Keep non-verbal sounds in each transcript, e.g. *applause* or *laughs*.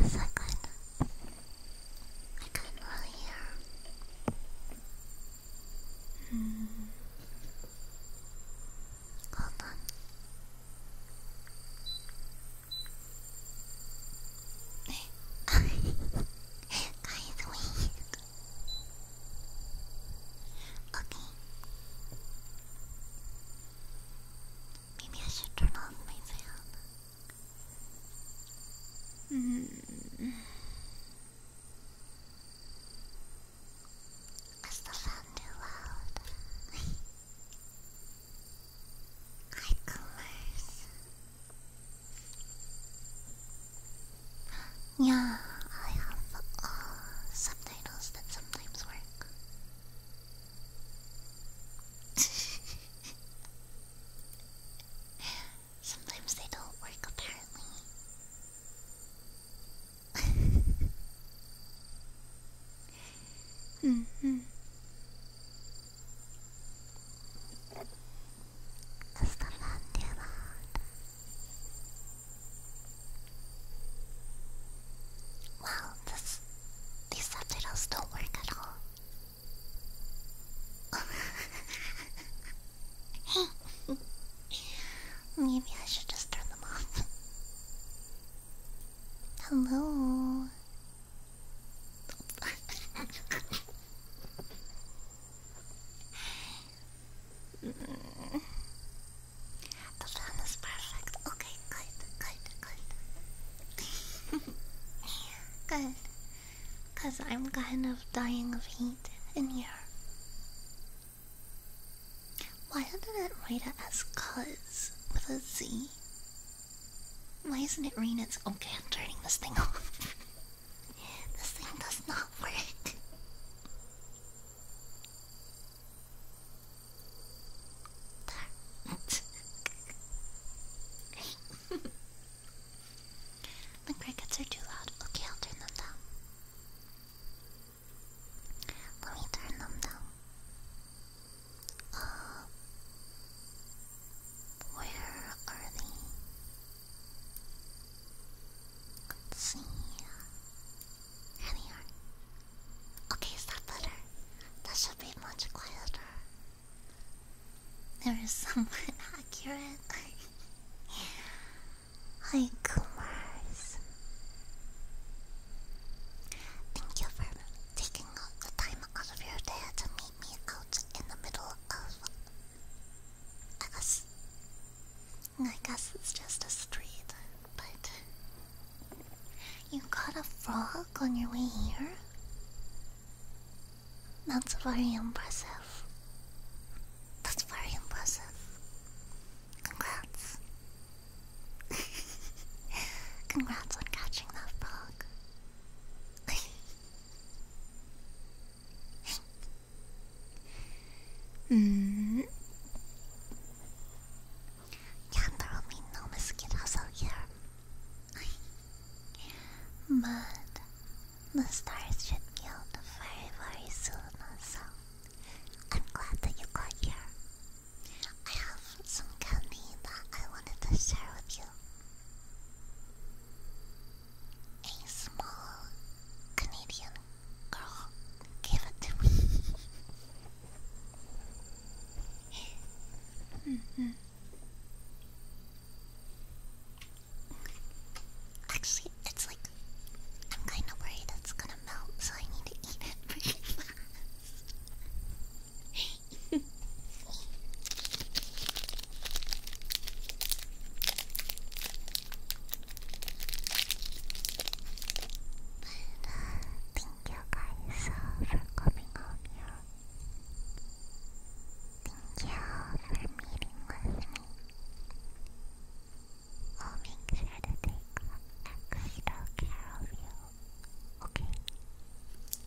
Is that good? I couldn't really hear. Hmm. Hold on. Guys, wait. Okay. Maybe I should turn off my fan. Mm. Is the fan too loud? Eye colors. Yeah, I have uh, subtitles that sometimes work. *laughs* sometimes they don't work, apparently. *laughs* Mm -hmm. Wow, this, these subtitles don't work at all. hey, *laughs* maybe I should just turn them off. *laughs* Hello, the sound is perfect. Okay, good, good, good. *laughs* good. Because I'm kind of dying of heat in here. Why did not it write it as cuz with a Z? Why isn't it raining? It's okay, I'm turning this thing off. *laughs* this thing does not work. *laughs* the crickets are too loud. Okay, I'll turn them down. Let me turn them down. Uh, where are they? see. Here Okay, is that should be much quieter. There is *laughs* somewhat accurate. Hi, Kumars. Thank you for taking out the time out of your day to meet me out in the middle of. I guess. I guess it's just a street, but. You got a frog on your way here? That's very impressive. That's very impressive. Congrats. *laughs* Congrats on catching that frog mm. Yeah, there will be no mosquitoes here. but the stars should be out very, very soon, so I'm glad that you got here. I have some candy that I wanted to share with you. A small Canadian girl gave it to me. mm *laughs* -hmm. Actually, it's like I'm kind of worried it's gonna melt, so I need to eat it *laughs* thank you for coming on Thank you for meeting with me. I'll make to take extra care of you. Okay.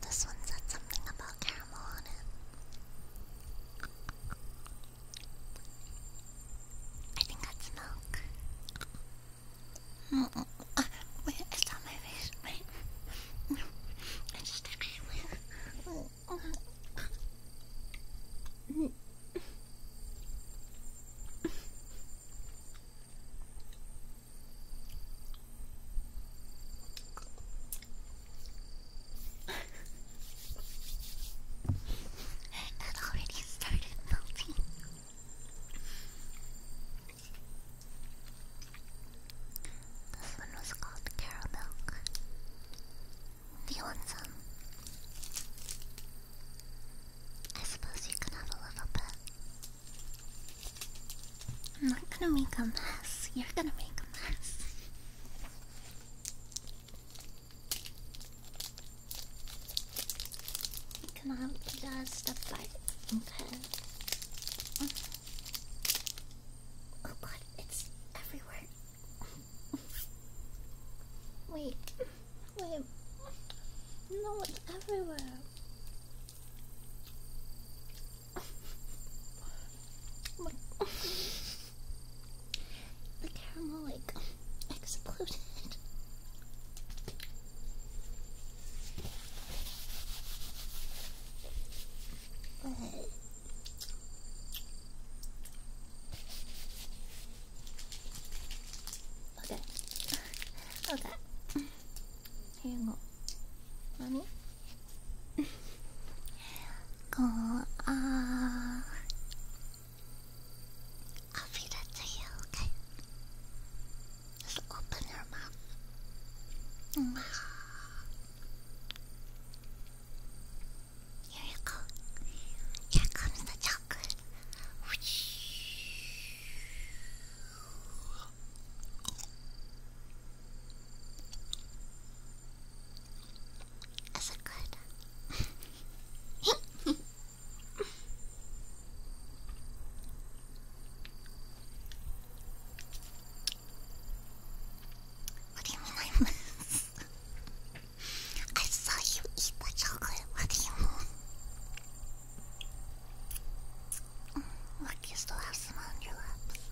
This one said something about caramel on it. I think that's milk. Mm, mm, mm. Uh, my face. Wait. It's sticky. Wait it already started melting. This one was called caramel. Do you I suppose you can have a little bit. I'm not gonna make a mess. You're gonna make a mess. cannot just apply it. Okay. Oh god, it's everywhere. wait, wait. No, it's everywhere. Look, the caramel like exploded. But Okay. Okay. Here you go go on. I'll feed that to you, okay? Just open your mouth. Here you go. Here comes the chocolate. As *laughs* good. What do you mean I *laughs* I saw you eat the chocolate. What do you mean? *laughs* Look, you still have some on your lips.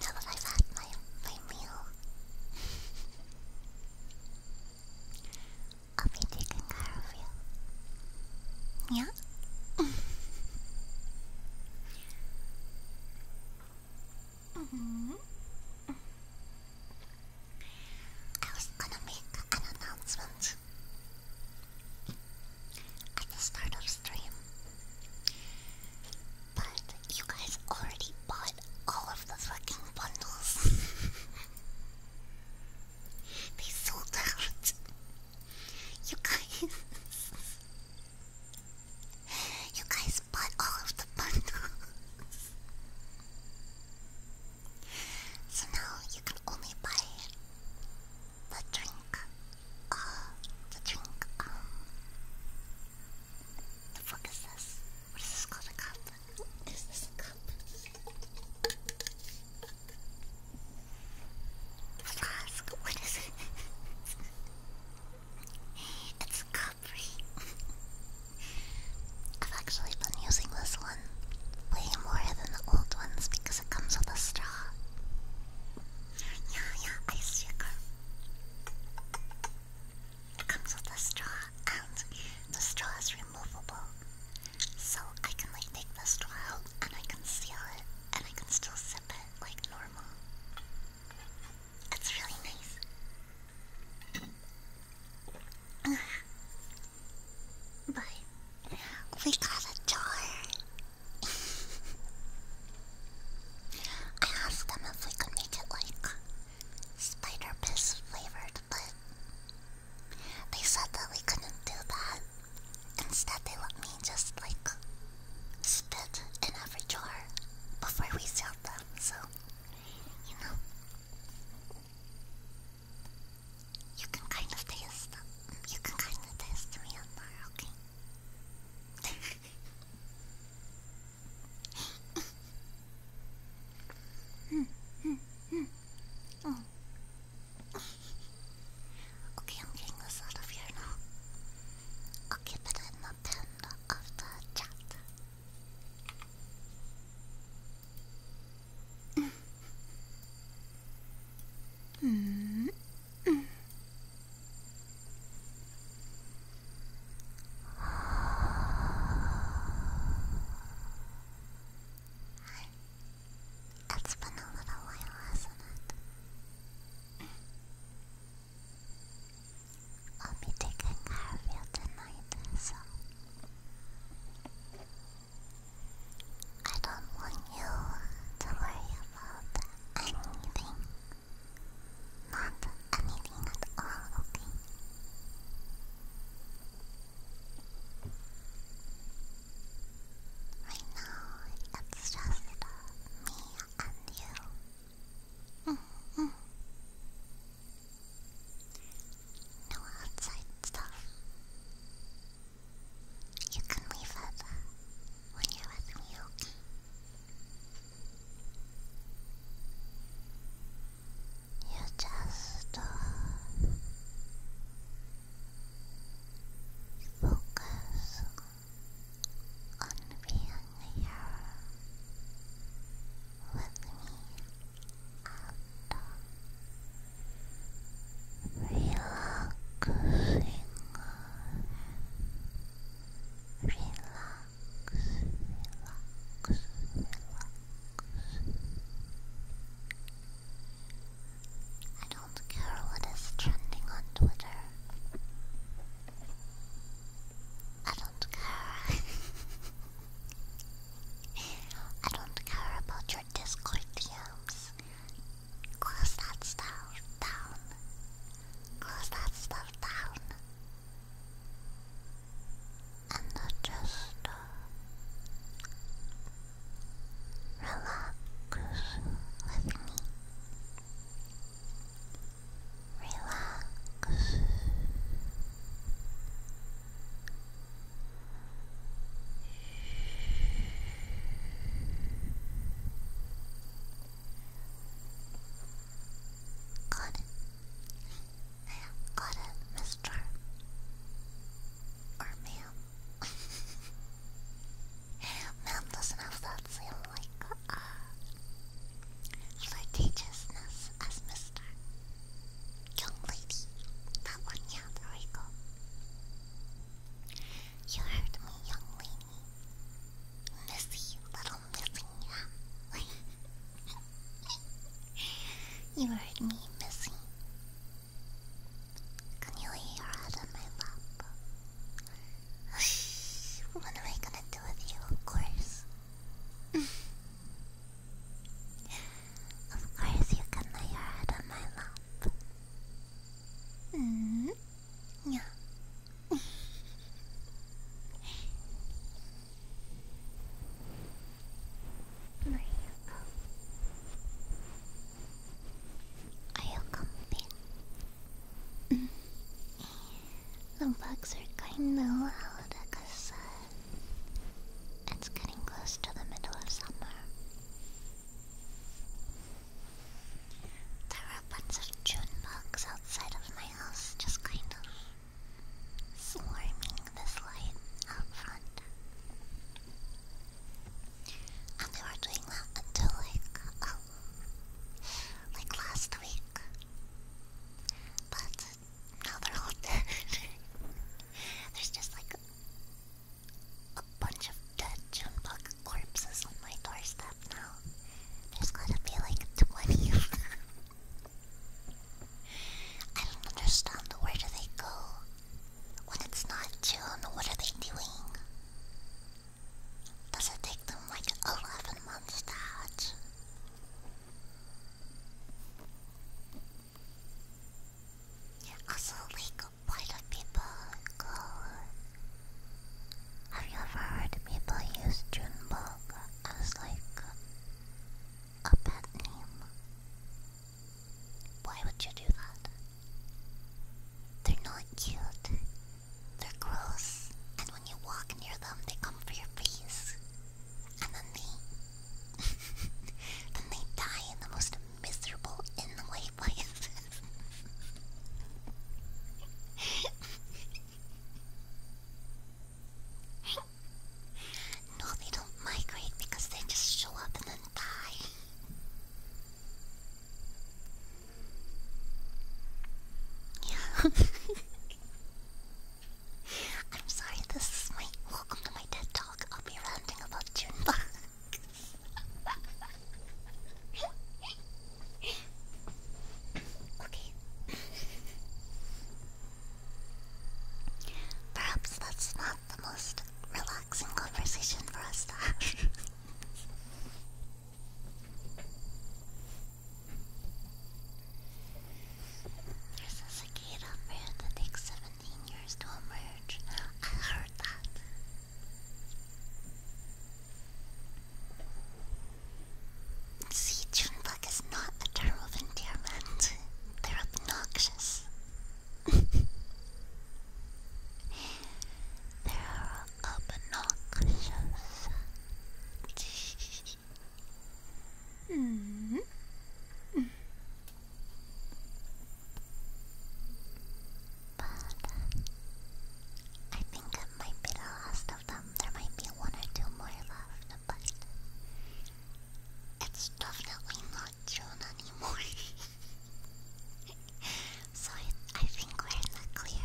now that I've had my my meal, I'll be taking care of you. Yeah. -hmm. I was gonna make an announcement at the start of stream, but you guys already bought all of the fucking bundles. *laughs* they sold out. You guys. You guys bought all of the bundles. So now you can only buy the drink uh, the drink, um, the fuck is this? What is this called, a cup? Is this a cup? what is it? *laughs* it's a cup, right? *laughs* I've actually been using this one way more than the old ones because it comes with a straw. Yeah, yeah, ice shaker. It comes with a straw, and the straw is removable. So I can like take the straw out, and I can seal it, and I can still sip it like normal. It's really nice. *sighs* but we got a jar. I asked them if we could make it like spider piss flavored, but they said that we couldn't do that. Instead, they let me just like spit in every jar before we sealed them, so you know. You can kind of taste, you can kind of taste me on there, okay? *laughs* mm, Okay, I'm getting this out of here now. Okay, but I'm not done of the chat. Mm. It's been a little while, has I'll be taking care of you tonight, so I don't want you to worry about anything. Not anything at all, okay? Right now, it's just me and you. -hmm. No outside stuff. You can leave it when you're with me, okay? You just uh, focus on being here with me and uh, relaxing relax, relax, relax. I don't care what is trending on Twitter. I don't care. I don't care about your Discord DMs. Close that stuff down close that stuff down. And just uh, relax with me. Relax. Got it. Yeah, got it, Mr. Or ma'am. *laughs* ma'am doesn't have that same, like, uh, flirtatiousness as Mr. Young lady. That one, yeah, there You heard me, young lady. Missy, little missing you. you heard me, missing. Can you lay your head on my lap? *sighs* what am I gonna do with you? Of course. of course, you can lay your head on my lap. Mm-hmm. Yeah. Where you go? Are you the bugs are kinda loud, I said. It's getting close to the middle of summer. There are a bunch of June bugs outside of my house, just kind of swarming this light out front. And they were doing that until like, oh, like last week. But now they're all *laughs* There's just like a bunch of dead June bugs corpses on my doorstep now. There's gotta be like 20 of them. I don't understand. Where do they go? When it's not June, what are they doing? Does it take them like 11 months to hatch? Also, like, why do people go have you ever heard people use Junebug as like a pet name? Why would you do that? They're not cute. They're gross. And when you walk near them, they come for your face. And then they *laughs* then they die in the most miserable in the way places. *laughs* *laughs* no, they don't migrate because they just show up and then die. Yeah. *laughs* I'm sorry, this is my welcome to my TED Talk. I'll be ranting about June *laughs* okay. Perhaps that's not the most relaxing conversation for us to have. There's a cicada bird that takes 17 years to emerge. I heard that. See, Junebug is not a term of endearment. They're obnoxious. *laughs* They're obnoxious. *laughs* -hmm. But I think I might be the last of them. Um, there might be one or two more left, but it's definitely not June anymore. *laughs* so I, I think we're in the clear.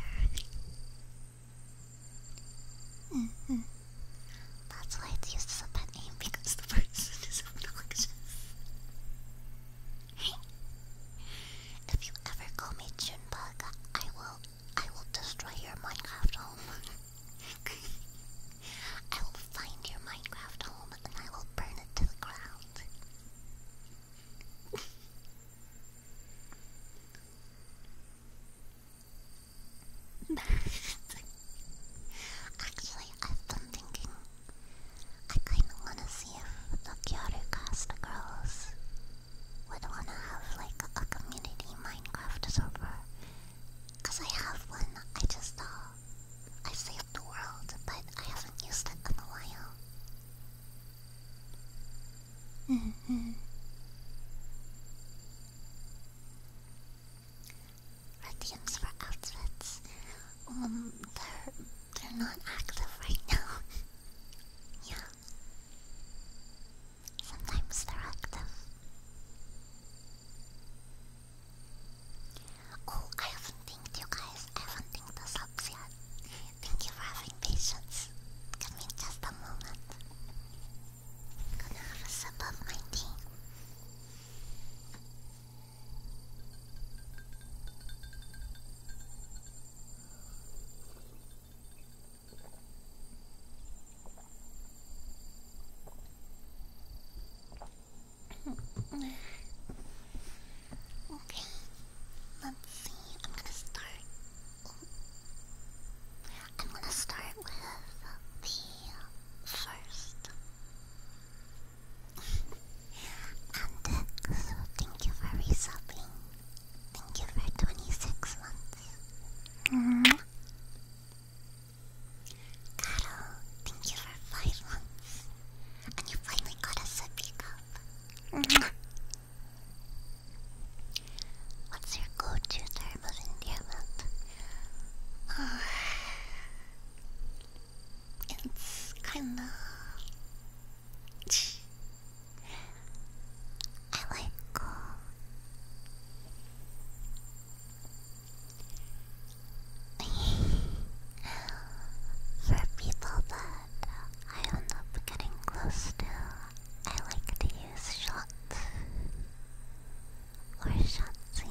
Mm-hmm. That's why it's used a pet name because the person is obnoxious. *laughs* if you ever call me Junebug, I will I will destroy your Minecraft home. *laughs* I will find your Minecraft home and I will burn it to the ground. *laughs* Actually, I've been thinking. I kinda wanna see if the Kyoto Costa girls would wanna have like a community Minecraft server. Cause I have one, I just uh I saved the world, but I haven't used it in a while. -hmm. Radiums for outfits. Um, they're they're not active right now. *laughs* yeah. Sometimes they're active. Oh, I haven't thanked you guys. I haven't thanked the subs yet. Thank you for having patience. Give me just a moment. gonna have a sip of my okay, let's see. I'm gonna start. I'm gonna start with the first. and uh, so thank you for resubbing. Thank you for 26 months. Mm thank you for five months. And you finally got a big cup. What's your go-to term of endearment? Uh, it's kinda... I like *sighs* For people that I end up getting close to, I like to use shots or shotsy.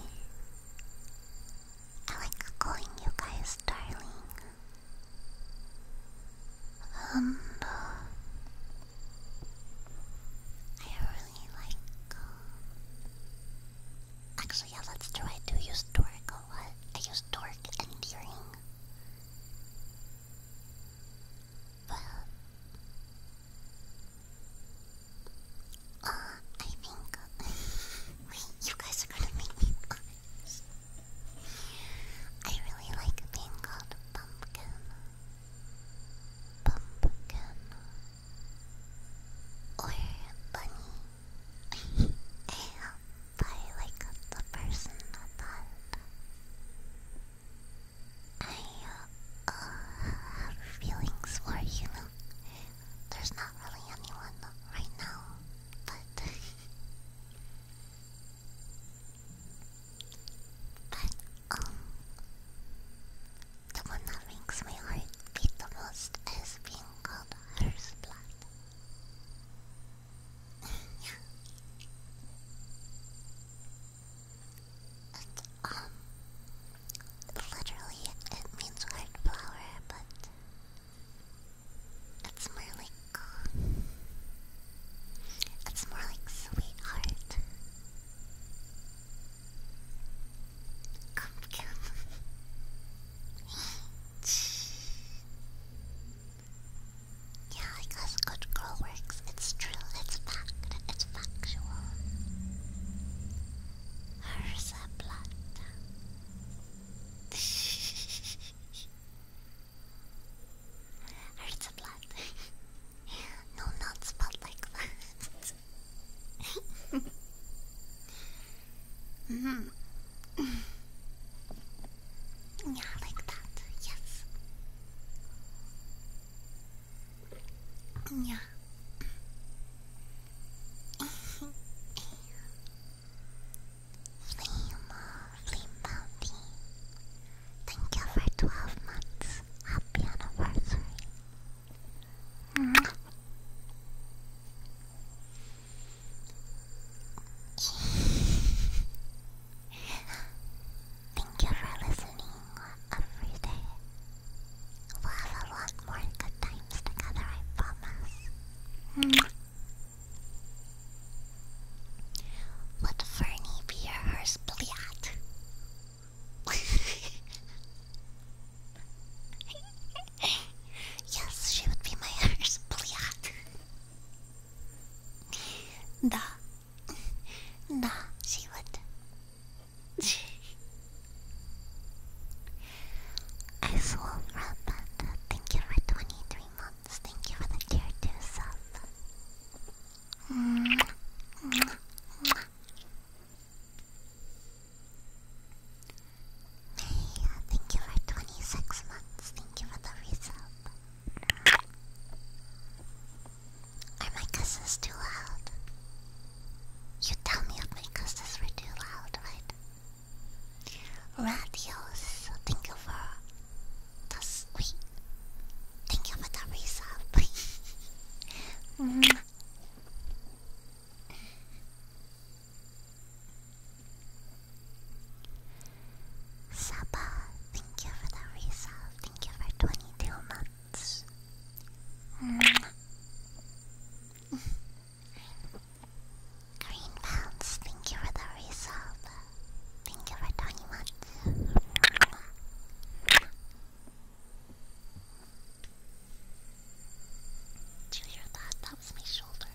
I like calling you guys darling. Um, I really like. Uh, actually, yeah, let's try to use torque a lot. I use torque and tearing. But uh, I think *laughs* wait, you guys are gonna make me I really like being called pumpkin pumpkin or bunny. I like the person that I have feelings for, you know. There's not really anyone right now, but *laughs* But, um, the one that makes my heart beat the most is being called Hearthblood. yeah. It, um, literally it means heart flower, but it's more like it's more like sweetheart. yeah, I good girl works. It's true. It's fact. It's factual. Hers a blood. *laughs* Hers *laughs* no, not spot like that. -hmm. Yeah, like that, yes. Yeah. *laughs* Flame. Thank you for 12 months. Happy anniversary. *laughs* Thank you for listening every day. We'll have a lot more good times together, I promise. Mm. What ferny be hers bliat? *laughs* yes, she would be my hers bliat. Da. Da, she would. *laughs* I swore from Panda. Thank you for 23 months. Thank you for the care to yourself. Thank you for 26 months. Thank you for the result. Are my cusses too loud? You tell me if my cusses were too loud, right? Radios, thank you for that's sweet. Thank you for the resub. *laughs* Mm-hmm. Saba, thank you for the resub. Thank you for 22 months. Mm-hmm. *laughs* Green Bounce, thank you for the resub. Thank you for talking about Did you hear that? That was my shoulder.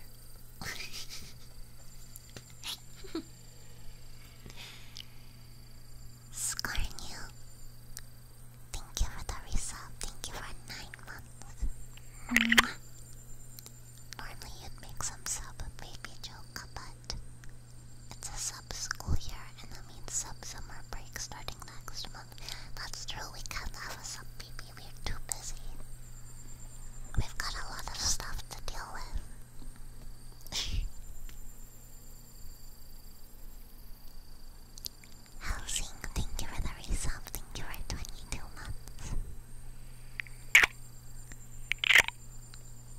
Scorn you. Thank you for the result. Thank you for nine months. Normally you'd make some sub and made joke, but it's a sub school year, and that means sub summer break starting next month. That's true, we can't have a sub baby, we're too busy. We've got a lot of stuff to deal with. *laughs* Housing, thank you for the resub, thank you for 22 months.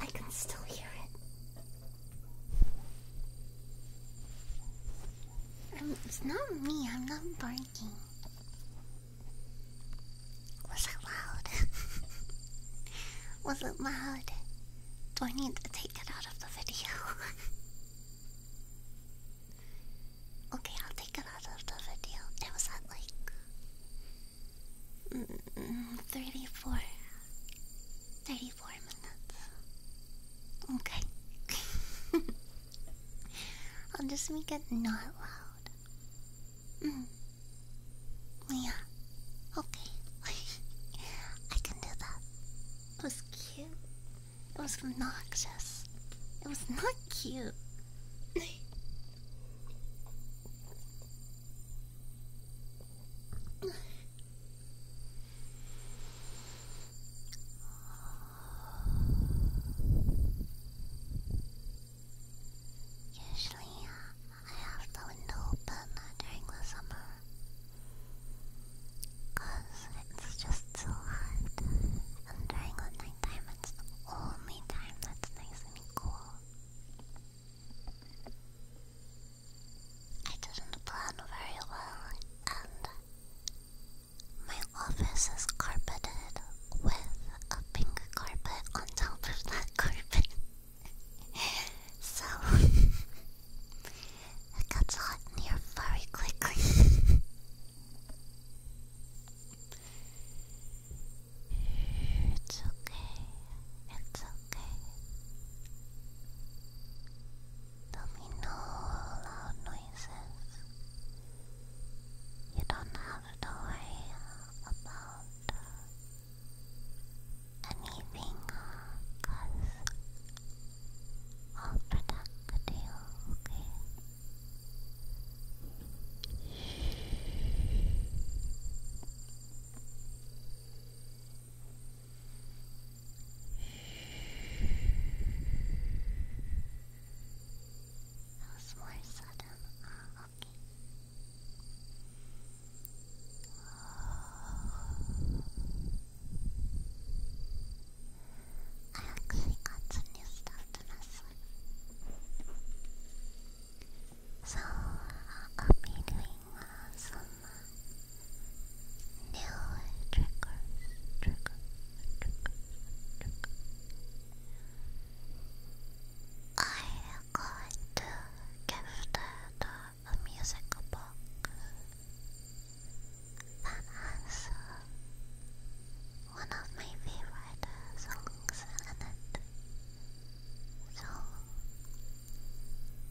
I can still hear it. Um, it's not me, I'm not barking. Was it loud? *laughs* Was it loud? Do I need to take it out of the video? *laughs* okay, I'll take it out of the video. It was at like 34. 34 minutes. Okay. *laughs* I'll just make it not loud. Mm. Yeah. Okay. *laughs* I can do that. It was cute. It was obnoxious. It was not cute. *laughs* Usually, uh, I have the window open during the summer because it's just so hot, and during the nighttime, it's the only time that's nice and cool. I didn't plan very well, and my office is carpeted with a pink carpet on top of that *laughs* carpet. so *laughs* it gets hot here very quickly. *laughs* It's okay. It's okay. There'll be no loud noises. You don't have to worry about uh, anything, uh, cause I'll protect you, okay? That was more sudden. Uh, okay. I actually got some new stuff to so I'll be doing some new triggers, I'm going to give it uh, a music box that has one of my favorite songs so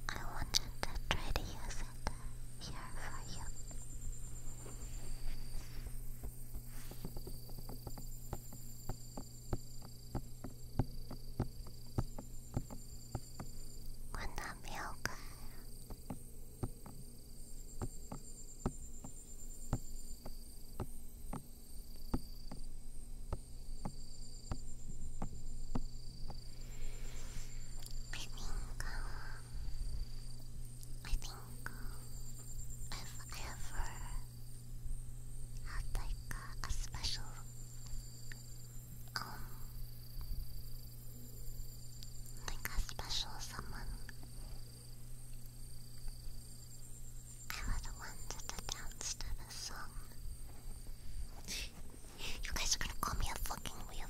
I wanted to try to use it here for you. would I think, I think I've ever had like a special, um, like a special someone the ones that danced to the song. You guys are gonna call me a fucking weirdo.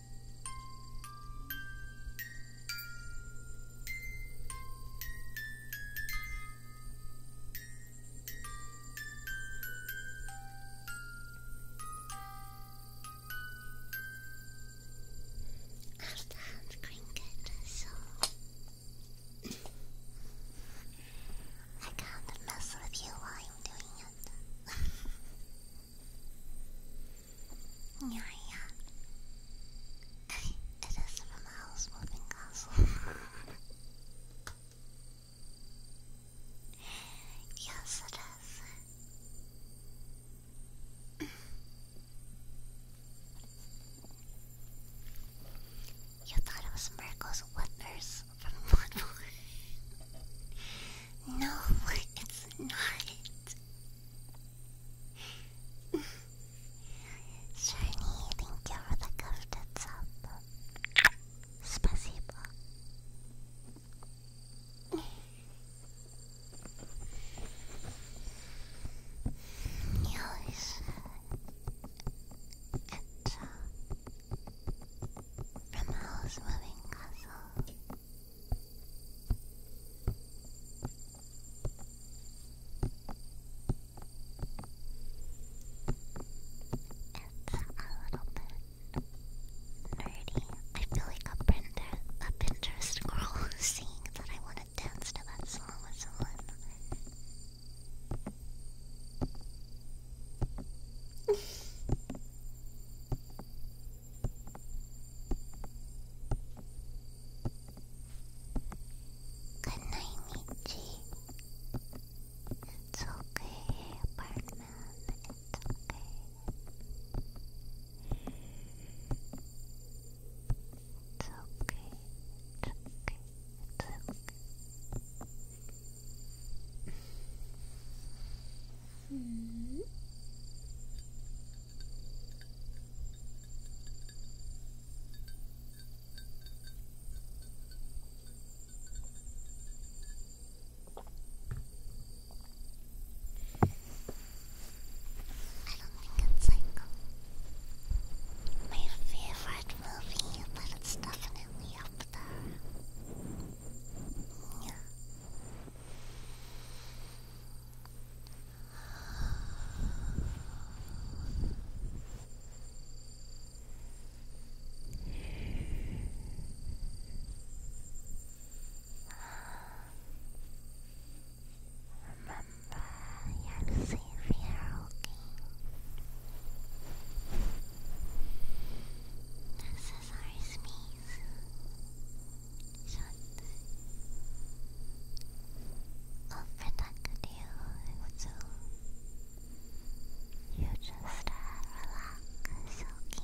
I've done Cricket, so I can't mess with you while I'm doing it. *laughs* Yeah, yeah. it is *laughs* from a house moving castle. yes, it is. you thought it was Miracle's wonders from Bloodborne. *laughs* No, it's not. Shiny, thank you for the gifted sub. Спасибо. Yes. It's uh, from the Moving Castle little bit nerdy. I feel like a Pinterest, *laughs* a Pinterest girl seeing that I want to dance to that song with someone. Good night, Michi. It's okay, It's okay. It's okay. It's okay. It's okay. Hmm. I don't think it's like my favorite movie, but it's definitely up there. Yeah. Remember, you're safe here, okay? This is our space. unproductive so you just uh, relax, okay?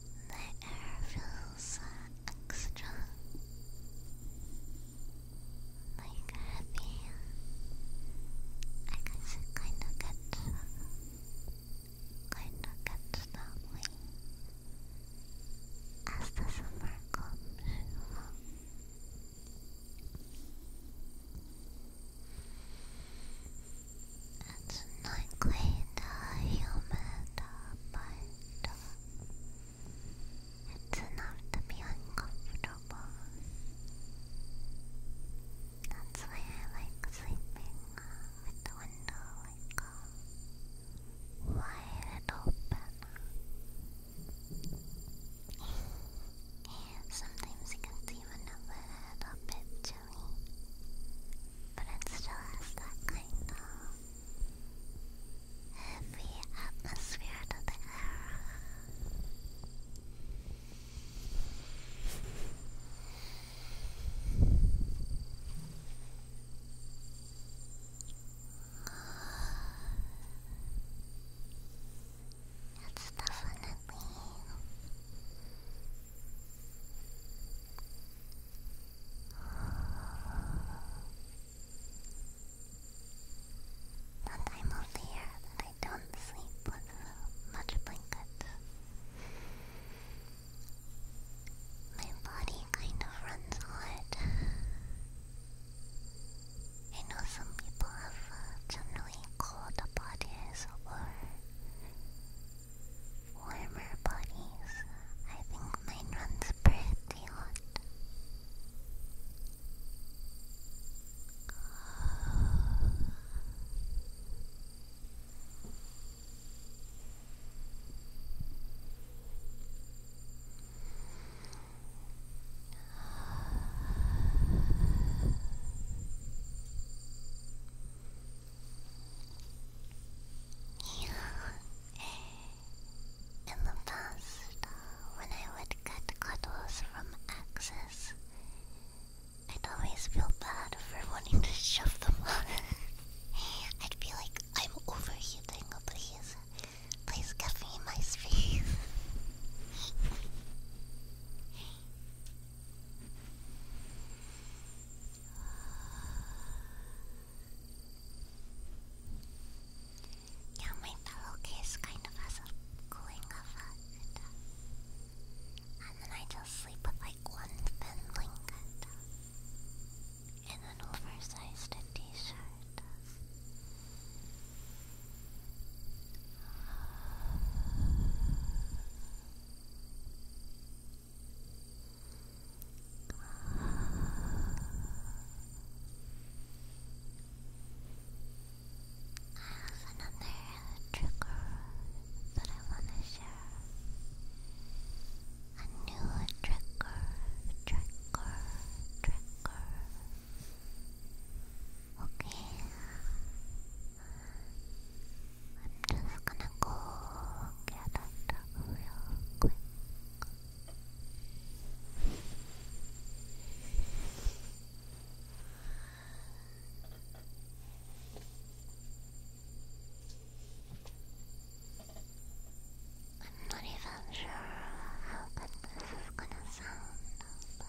The air feels extra, like heavy. I guess it kind of gets, kind of gets that as the summer comes. It's not quite uh, humid, but it's enough to be uncomfortable. That's why I like sleeping the window like uh, wide and open. and sometimes it gets even a little bit chilly, but it still has that kind of heavy atmosphere of the air. It's definitely and I'm aware that I don't sleep with much blanket. My body kind of runs hot. I know some people have uh, generally cold bodies or warmer bodies. I think mine runs pretty hot. Yeah, in the past, when I would get cuddles from Axis, I'd always feel bad for wanting to shove them *laughs* on. I'd be like, I'm overheating, please. Please give me my space. *laughs* Yeah, my pillowcase kind of has a cooling effect. And then I just sleep with like one thin blanket and an oversized t-shirt another trigger that I want to share. A new trigger, trigger, trigger. Okay. I'm just gonna go get it real quick. I'm not even sure how this is gonna sound, but.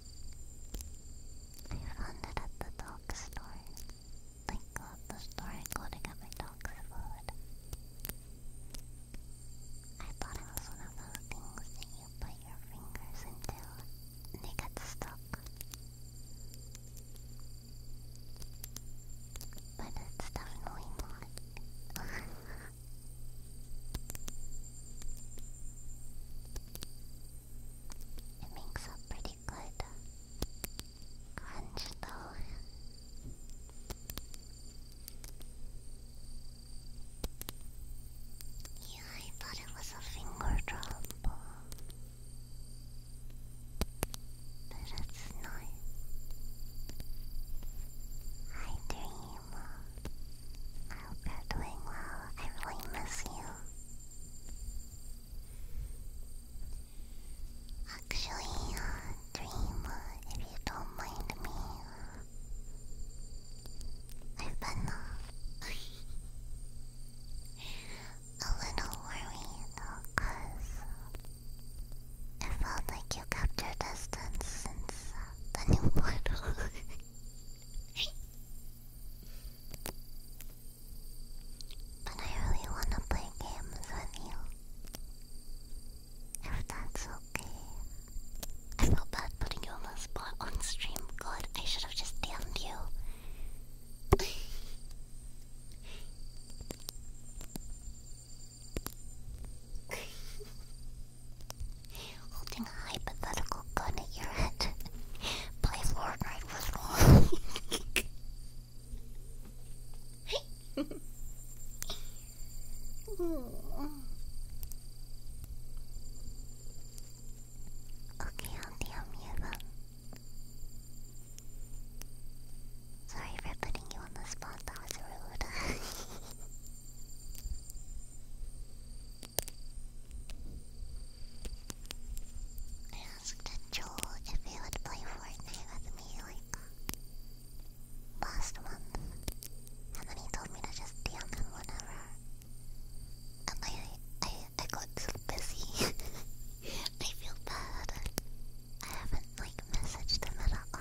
I found it at the dog store. I go the store and to get my dog's food. I thought it was one of those things that you put your fingers into and they get stuck. But it's definitely not. It makes a pretty good crunch though. Yeah, I thought it was a finger drop. But it's not. Hi Dream. I hope doing well. I really miss you. Actually, uh, Dream, uh, if you don't mind me, I've been a little worried because it felt like you kept your distance since the new portal. But I really wanna play games with you. If that's okay. I felt bad putting you on the spot on stream. God, I should have just damned you. *laughs* Holding hypothetical gun at your head. *laughs* Play Fortnite with me. *laughs* okay, I'll DM Sorry for putting you on the spot, that was rude. *laughs* I asked Joel if he would play Fortnite with me like last month, and then he told me to just DM him whenever. And I, I, I got so busy. *laughs* I feel bad. I haven't like messaged him at all.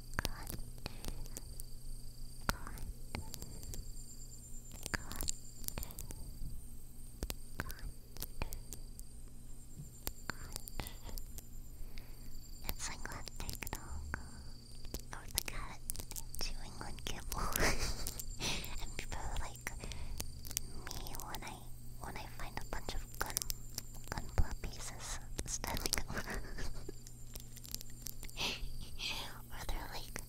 It's like that big dog or the cat chewing on kibble, and people like me when I when I find a bunch of gun gunpla pieces standing around or they're like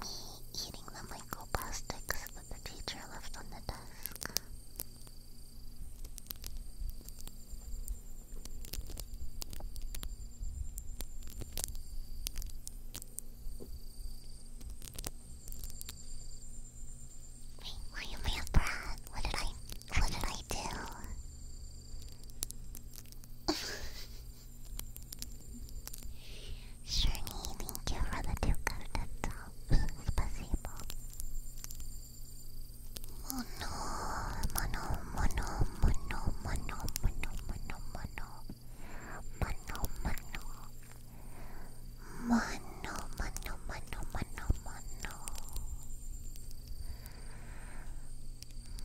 me eating the microplastics that the teacher left on the desk. Wait, why am I a brat? What did I, what did I do? Shirley, thank you for the two carded tops. Spasibo. Mono, mono, mono, mono, mono, mono, mono, mono, mono, mono. Mono, mono, mono, mono,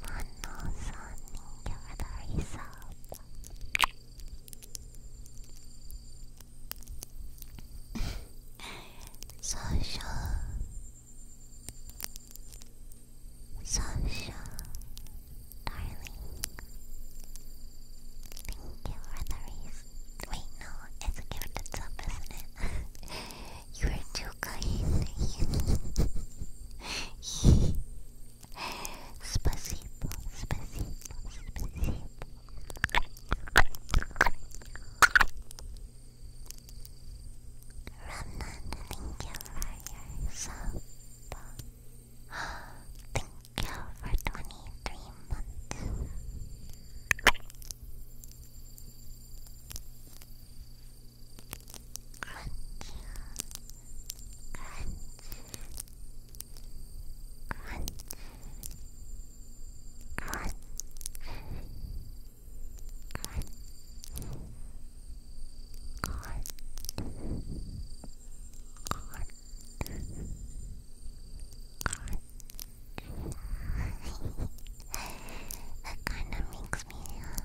Mano *laughs* san, thank you for the result. Sasha Darling Thank Wait no, it's a gift, it's isn't it? *laughs* you were too you guys. Spasibo, spasibo, spasibo. Ramnan thank you for your sub. Thank you for 23 months crunch, crunch, crunch, crunch, crunch, crunch, crunch. that kind of makes me uh,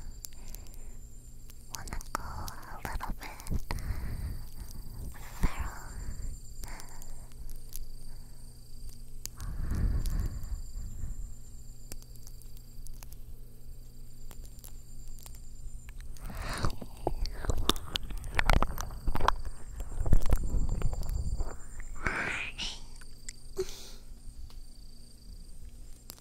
wanna go a little bit feral.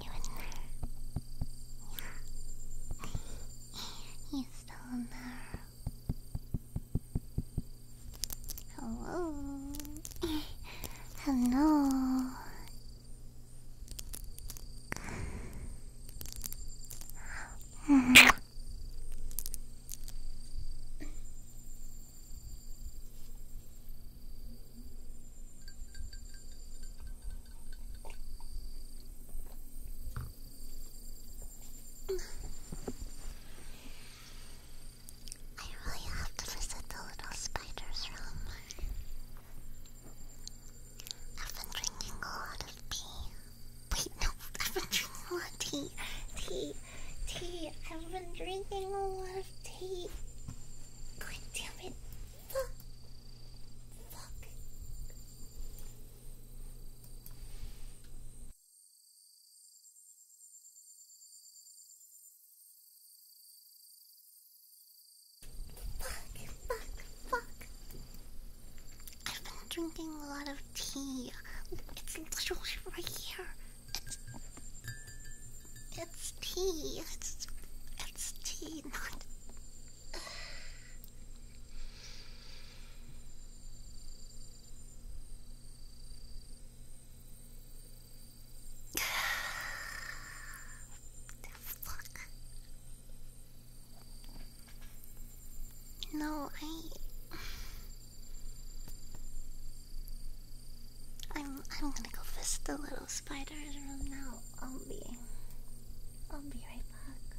You in there? Yeah. He's still in there. Hello. Hello. I really have to visit the little spider's room. I've been drinking a lot of tea. Wait, no, I've been drinking a lot of tea. Tea, tea. I've been drinking a lot of tea. Good tea damn Fuck. Fuck. Fuck, fuck, fuck. I've been drinking a lot of tea. It's literally right here. It's tea. It's it's tea, not. *sighs* Fuck. No, I. I'm I'm gonna go visit the little spider's room now. I'll be I'll be right back.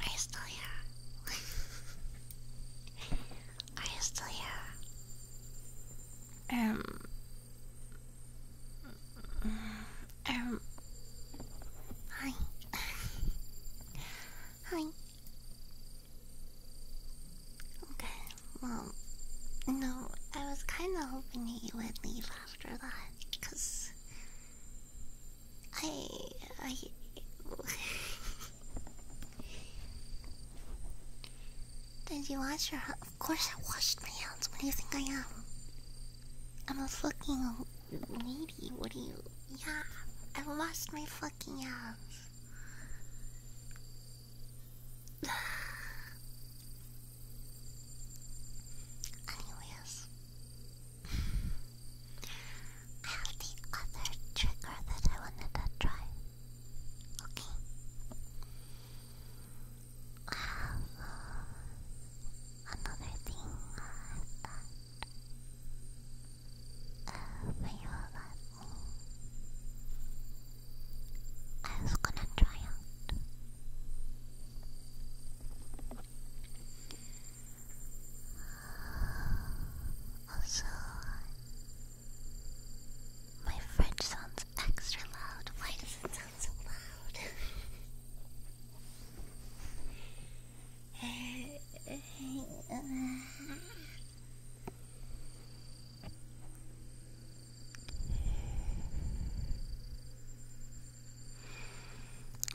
Are you still here? Are you still here? Um. Um. Hi. *laughs* Hi. Okay, well, no, I was kind of hoping that you would leave after that, cause I, I. *laughs* Did you wash your Of course I washed my hands. What do you think I am? I'm a fucking lady. What do you? Yeah, I washed my fucking house. *sighs* Anyways, *sighs* I have the other trigger that I wanted to try. Okay. I *sighs* another thing uh, you let me. I was gonna try out. *laughs* Also, my French sounds extra loud. Why does it sound so loud?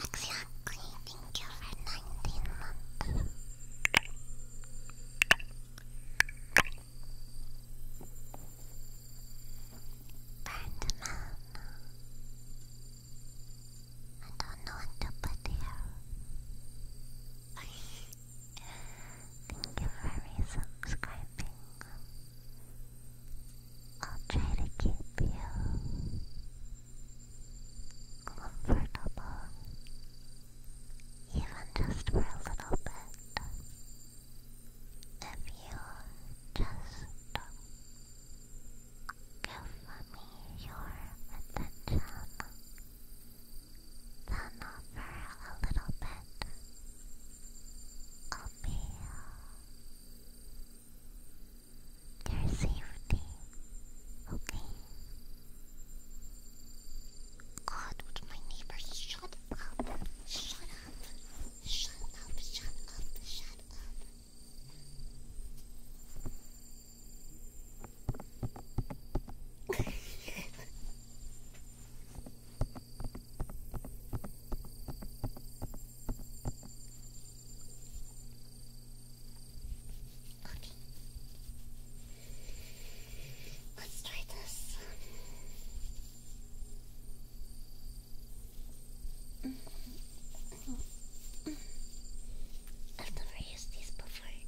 Exactly, thank you for 19 months. Birdman. I don't know what to put here. Thank you for subscribing. I'll try to keep you comfortable, even just for a little bit. If you just give me your attention, then offer a little bit of me safety, okay? God, would my neighbor shut up? Shut up! Shut up! Shut up! Shut up! okay. Let's try this. I've never used these before.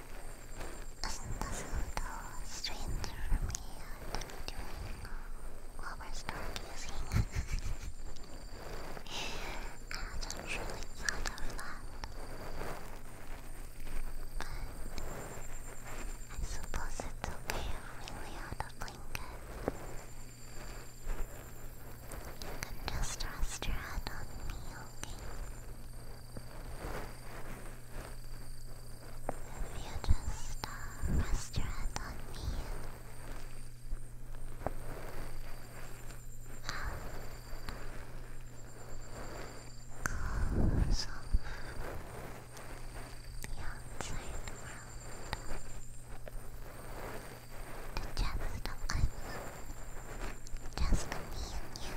Isn't this a little strange for me to be doing while we're start using? I hadn't really thought of that. But I suppose it's okay if we lay out a blanket. You can just rest your head on me, okay? If you just uh, rest your hand on me, and uh, close off the outside world. Just, um, just me and you.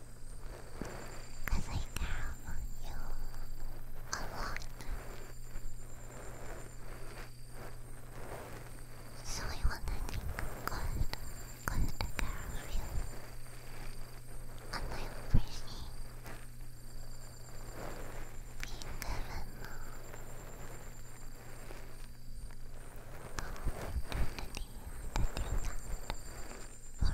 Cause I care about you a lot. So I want to think good, good to care of you. And I appreciate being given the opportunity to do that for you.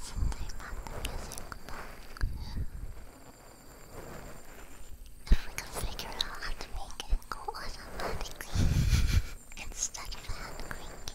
Something about the music If we can figure out how to make it go automatically *laughs* instead of hand cranking,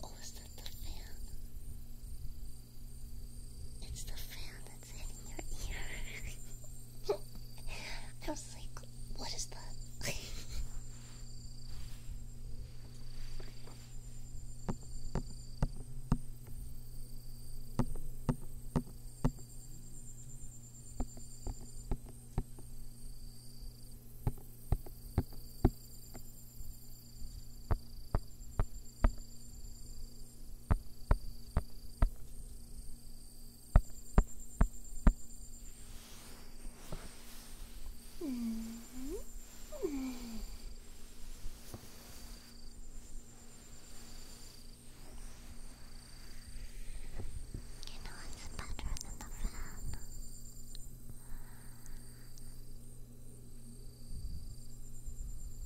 What is that? Oh, is that the fan? It's the fan that's hitting your ear. *laughs* I was like, what is that? You know it's better than the fan.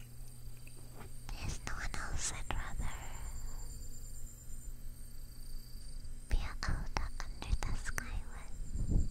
There's no one else I'd rather be out under the sky with.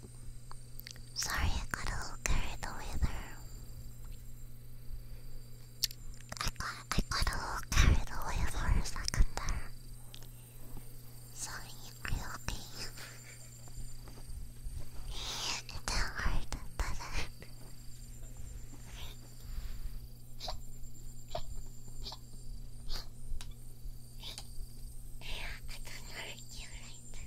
Sorry, I got a little carried away there. I got, I got a little carried away for a second there. Sorry, are you okay? it didn't hurt, but. Uh, *laughs* I don't hurt you, right?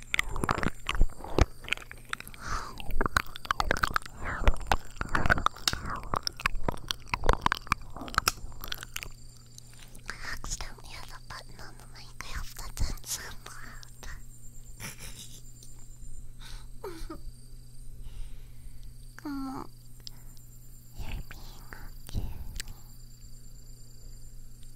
I accidentally have a button on the Minecraft that doesn't sound loud. *laughs* Come on. You're being a cutie.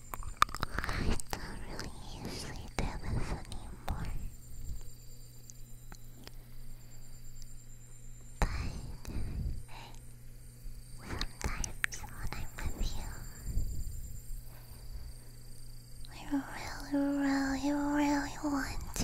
I don't really usually do this anymore. But sometimes when I'm with you, I really, really, really want to.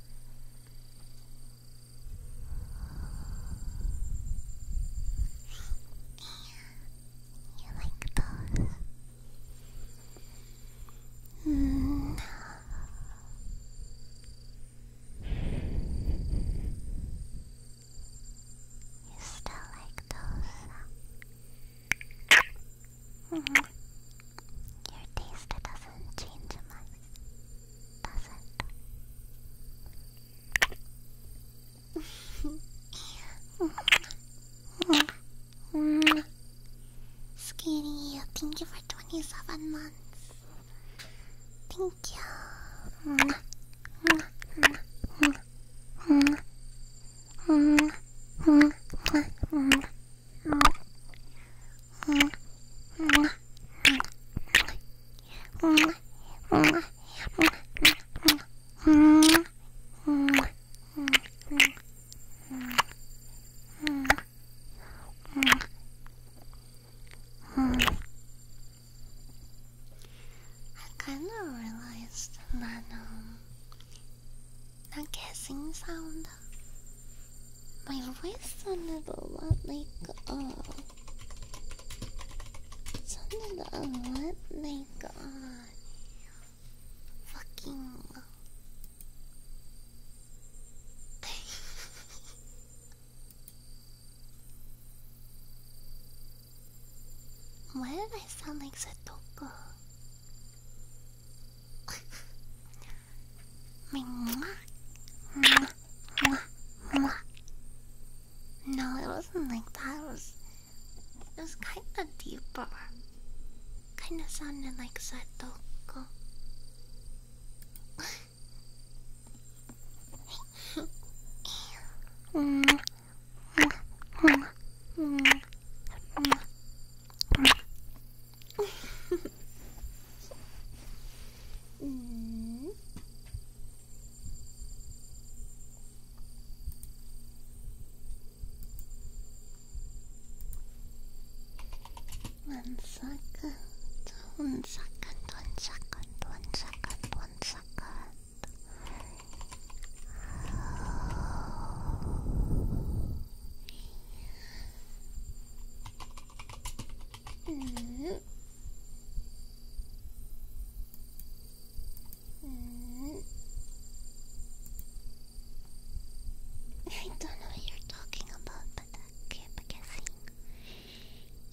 you like those? Mm. You still like those? Mm-hmm. Your taste doesn't change much, does it? *laughs* Skinny, thank you for 27 months. Thank you. *laughs* I kind of realized that um, that kissing sound. My voice sounded a lot like uh sounded a lot like uh fucking *laughs* Why did I sound like Setoko? *laughs* No, it wasn't like that. It was, it was kind of deeper. Kind of sounded like Satoko. mm. *laughs* mm. One second, one second, one second, one second, one second. Mm. Mm. *laughs* I don't know what you're talking about, but I keep guessing.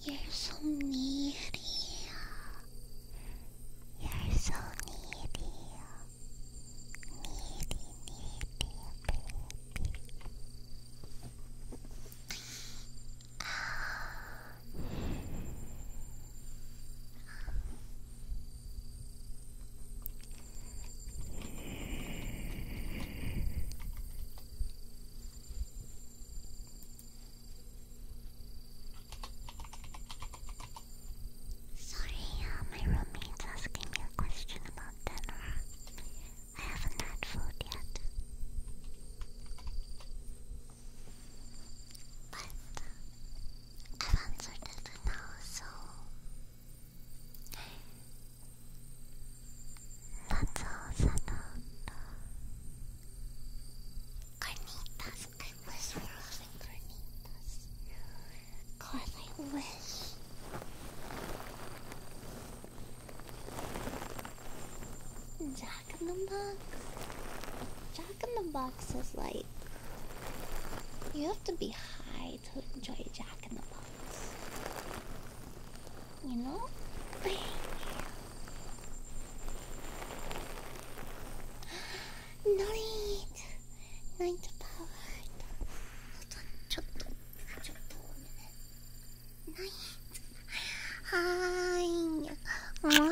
You're so needy. You're so needy. Sorry, uh, my roommate's asking me a question about dinner. I haven't had food yet. But I've answered it for now, so that's all settled. Carnitas, I carnitas. God, I wish. Jack in the Box? Jack in the Box is like. You have to be high to enjoy Jack in the Box. You know? *gasps* Night! Night powered. ちょっとはいうん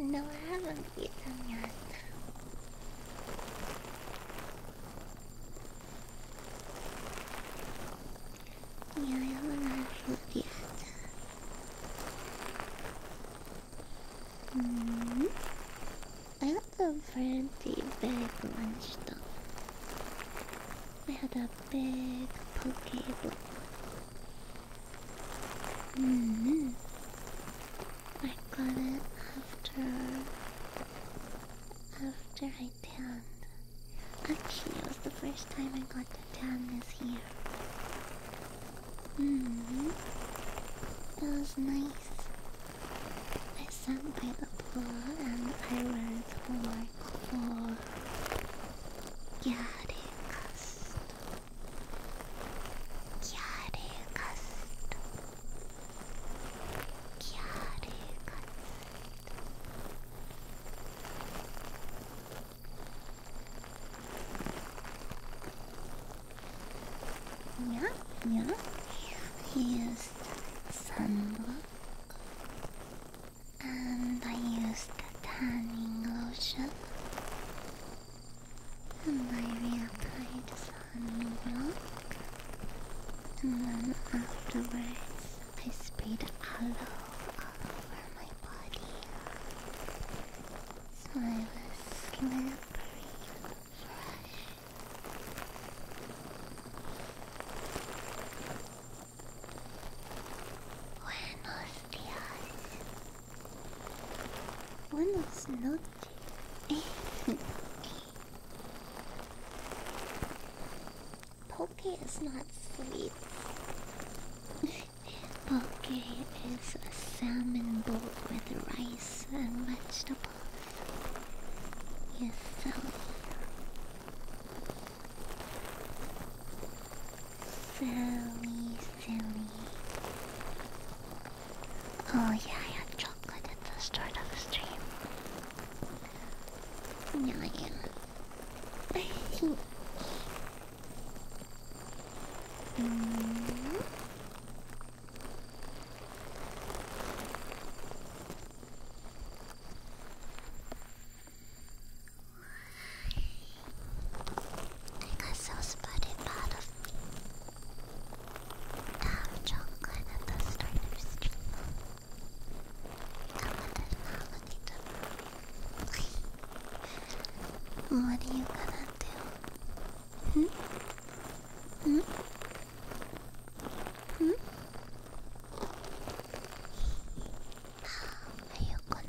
No, I haven't eaten yet. Yeah, I haven't yet. Mm-hmm. I had a pretty big lunch though. I had a big poke bowl. Mm-hmm. I got it after after I tanned. Actually, it was the first time I got the dam is here. hmm. It nice. I sat by the pool and I learned to for Gyarikast. Gyarikast. Gyarikast. Yeah, yeah. He used sunblock, and I used the tanning lotion, and I reapplied sunblock, and then afterwards I sprayed aloe all over my body. Smile a slippery fresh. Buenos dias. Buenos *laughs* noches. Poke is not sweet. *laughs* Poke is a salmon bowl with rice and vegetables. Yes, Silly, silly. Oh yeah, I had chocolate at the start of the stream. yeah. *laughs* *laughs* Mm I got so spotted out of me. I have chocolate at the start of I'm a What are you gonna うんうううん？ん？ん。ん。ああ、の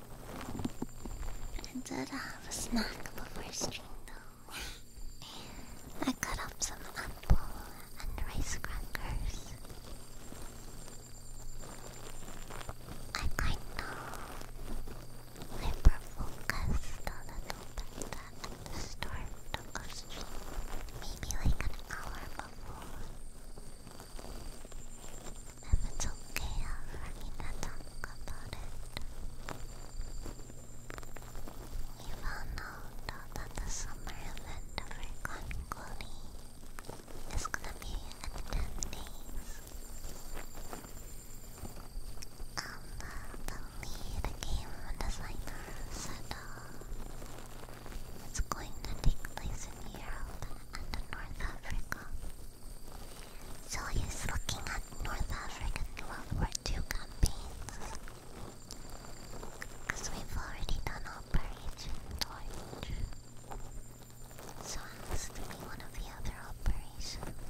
I did have a snack before stream though. *laughs* I cut up some apple and rice crackers. I kind of hyper-focused a little bit the start of maybe like an hour before. If it's okay, I'll forget to talk about it. We found out that the summer event of Recon Cody is gonna be in 10 days. Um, the lead game designer said uh, it's going to take place in Europe and North Africa. So he's looking at North African World War II campaigns. we've already done Operation Torch. So it has be one of the other operations.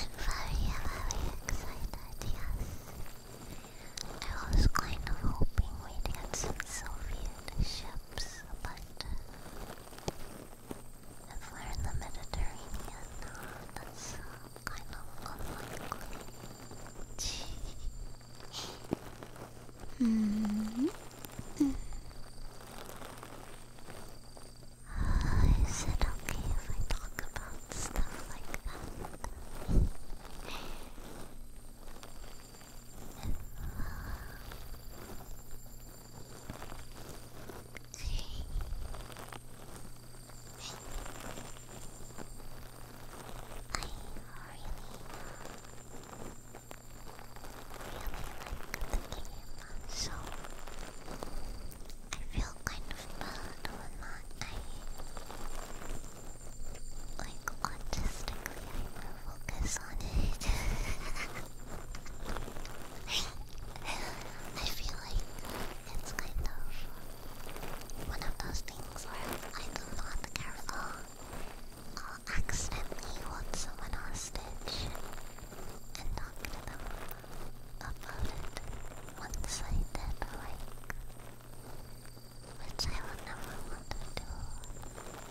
I'm very, very excited, yes. I was kind of hoping we'd get some Soviet shells ships, but if we're in the Mediterranean, that's kind of unlikely. -hmm. is it okay if I talk about stuff like that? game, so I feel kind of bad when I like autistic I feel like it's kind of one of those things where I do not care at all. I'll accidentally hold someone hostage and talk to them about it once I did, like, which I would never want to do.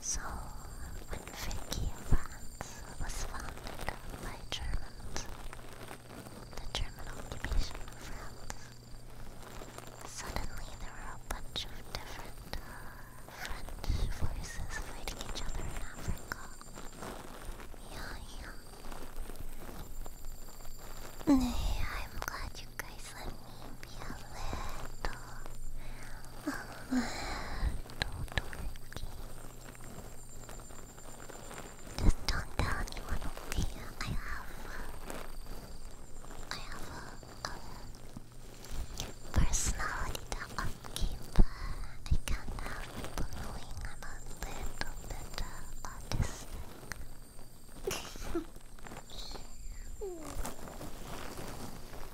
So, when Vicky France was found by Germans, the German occupation of France, suddenly there were a bunch of different uh, French forces fighting each other in Africa. Yeah, yeah. I'm glad you guys let a little, a little dorky. Just don't tell anyone over I have, I have a, personality that I keep. I can't have people knowing I'm a little bit uh, *laughs* autistic. *laughs*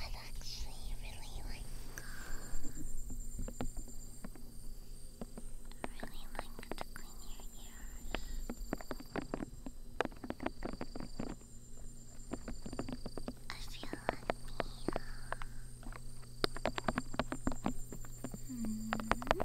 I've actually really like really like to clean your ears. I feel like me. Uh, hmm.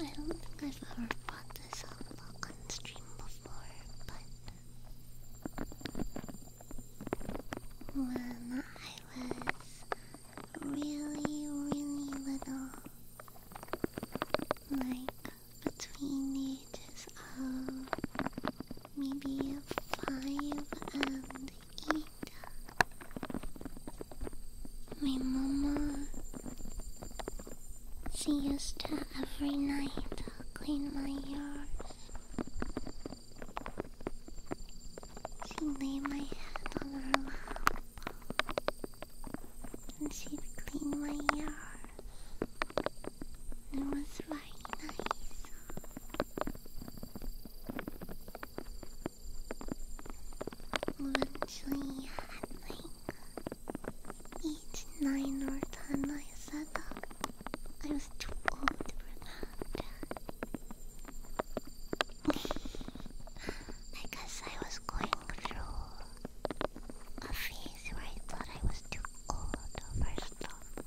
I don't think I've ever brought this up on stream before, but when I was really, really little, like between the ages of maybe five and my mama, she used to every night clean my ears. She laid my head on her lap, and she'd clean my ears. It was very nice. Eventually, at like 8, 9 or 10, I said that I was too old for that. I guess I was going through a phase where I thought I was too old for stuff.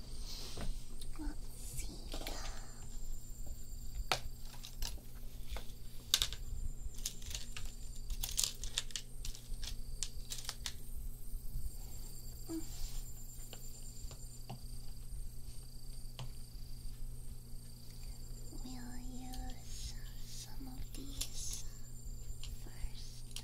Let's see. We'll use some of these first.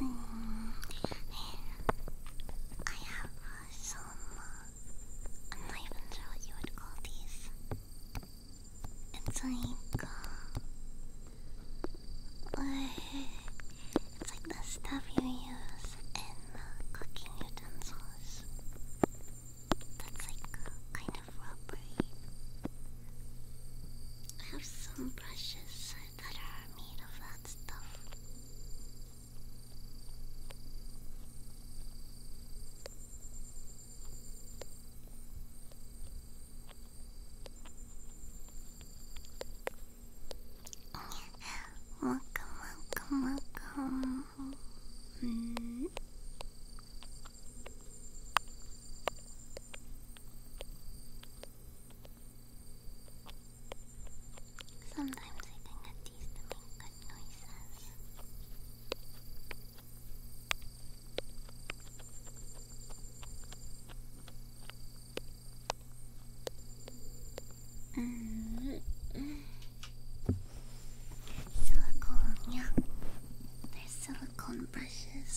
Mm, I have some. I'm not even sure what you would call these. It's like. it's like the stuff you use in cooking utensils. That's like kind of rubbery. I have some brushes that are made of that stuff. Welcome, welcome, welcome. Mm. Sometimes I can get these to make good noises. -hmm. *sighs* Silicone, yeah. There's silicone brushes.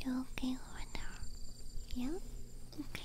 You okay over there? Yeah? Okay.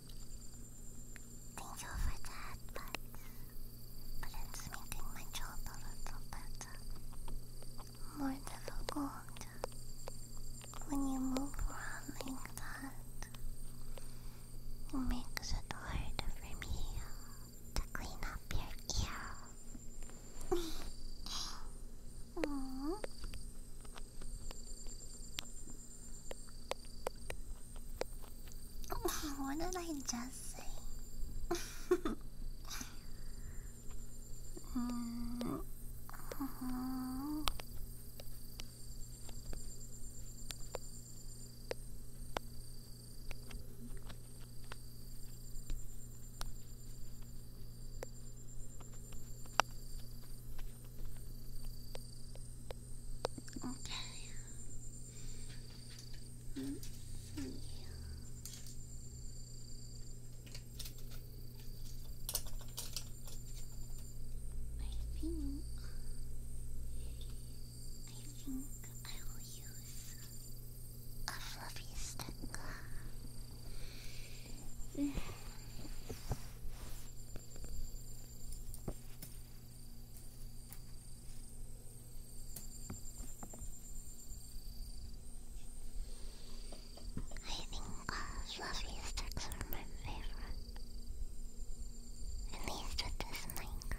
Thank you for that, but, but it's making my job a little bit more difficult when you move around like that. It makes it hard for me to clean up your ear. *laughs* Aww what did I just say? mm. Okay. Mm -hmm. I think I think I will use a fluffy stick. I think uh, fluffy sticks are my favorite. At least with this mic.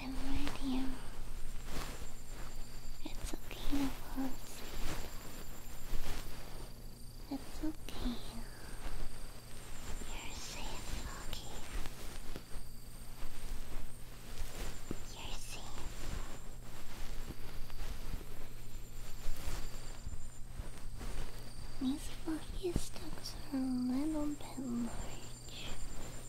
I'm right here. It's okay to It's okay. You're safe, Foggy. You're safe. These foggy are a little bit large.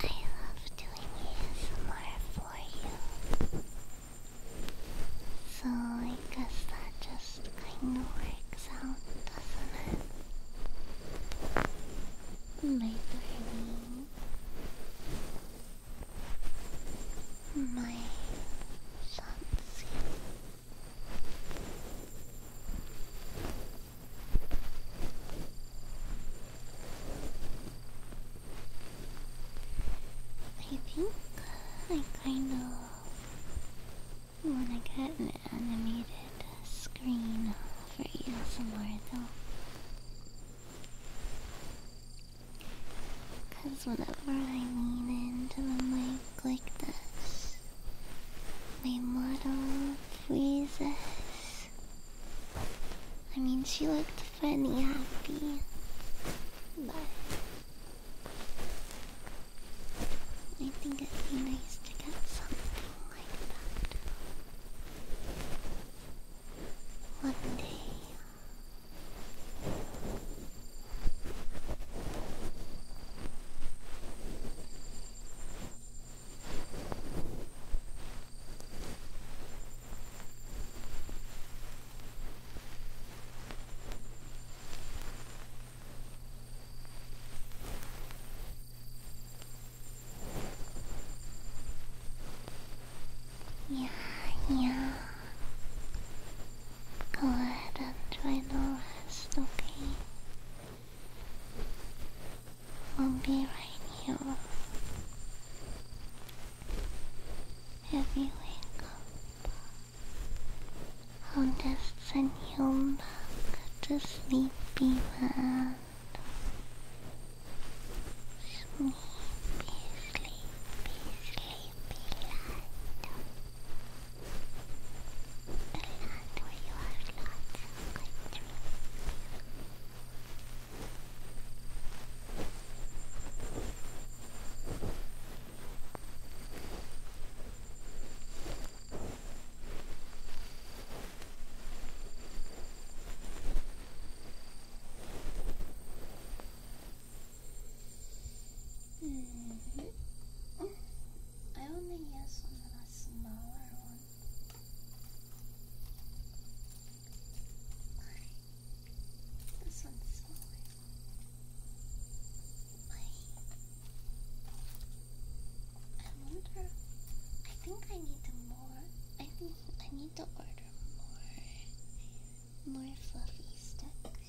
I love doing ASMR for you. So I guess that just kinda works out, doesn't it? My darling. My fancy. I think I kind of want to get an animated screen for you somewhere though. Because whenever I lean into the mic like this, my model freezes. I mean, she looked funny, happy, but I think it'd be nice to get something like that one day. Yeah, yeah. Go ahead and try to rest, okay? I'll be right here. If you wake up, I'll just send you back to sleepy Sleepy, sleepy, sleepy land. land where you have lots Mm -hmm. I only use some the smaller ones. This one's smaller. I wonder I think I need to more I think I need to order more more fluffy sticks.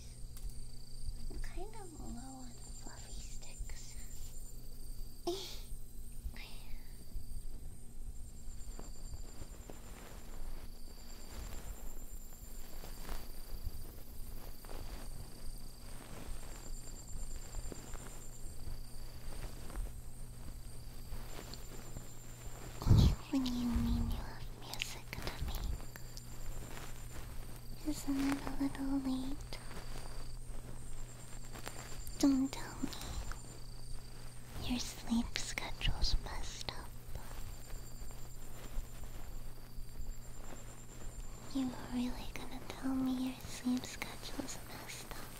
I'm kind of low on fluffy sticks. *laughs* When you mean you music to make, isn't it a little late don't tell me. Your sleep schedule's messed up. You are really gonna tell me your sleep schedule's messed up.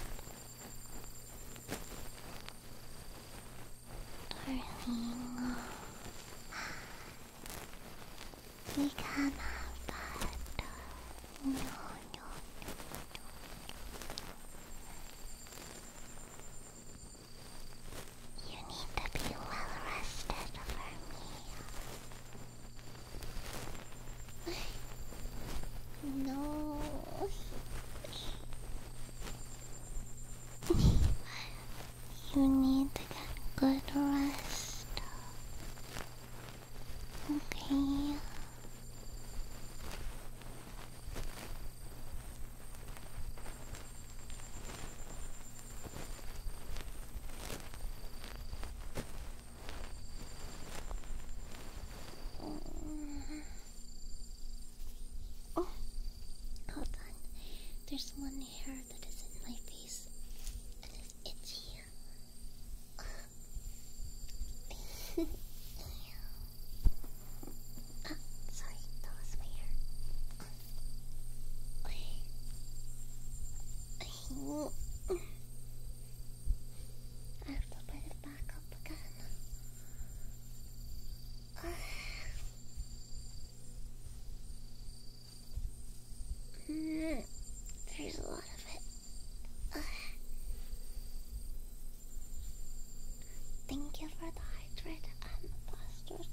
Darling, *sighs* we can have you need to be well rested for me. no. you need to get good rest. Okay. Oh, hold on. There's one hair that is in my face and it's itchy. Oh, sorry, that was my I have to put it back up again. Uh. There's a thank you for the hydrate and the plaster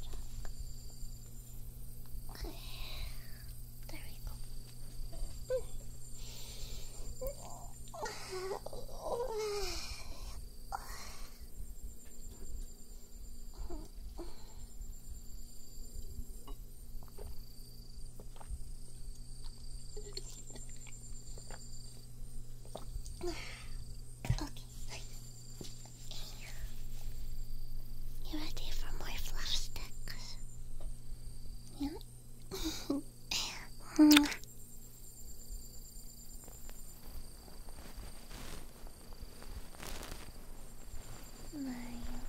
There we go. Okay. okay. You ready for more fluff sticks? Yeah. Mario,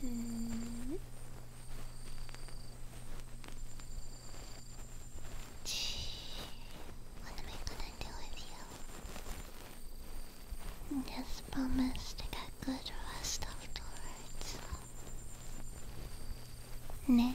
Hmm. am gonna do with you? Just promise to get good rest afterwards. Ne?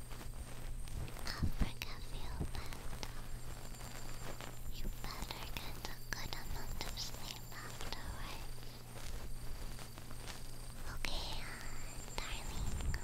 Africa feel better. You better get a good amount of sleep afterwards. Okay, darling.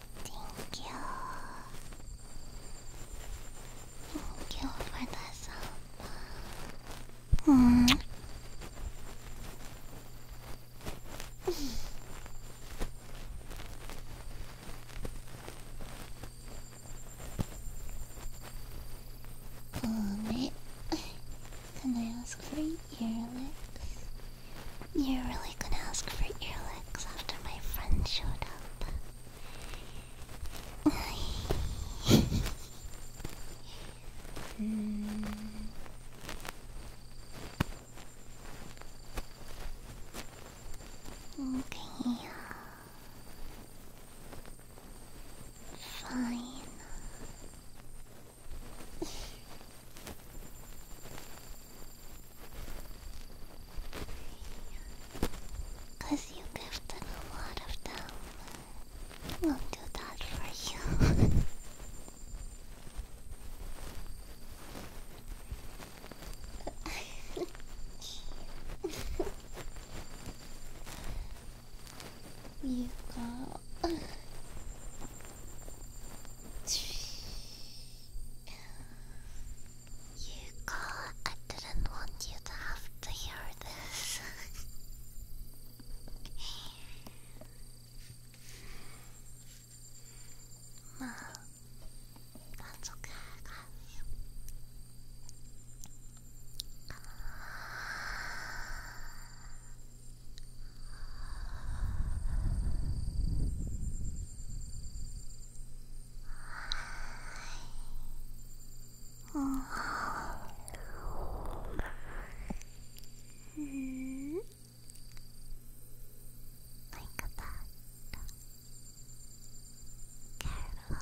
Thank you. Thank you for the sub. Mm. *laughs* oh, *laughs* Can I ask for your lips? You're really gonna ask for earlicks after my friend showed up. mm. Okay. Fine. Cause you you've them a lot of them. We'll do that for you. you go. You got. I didn't want you to have to hear this. no, that's okay, Mm. Like that. Careful.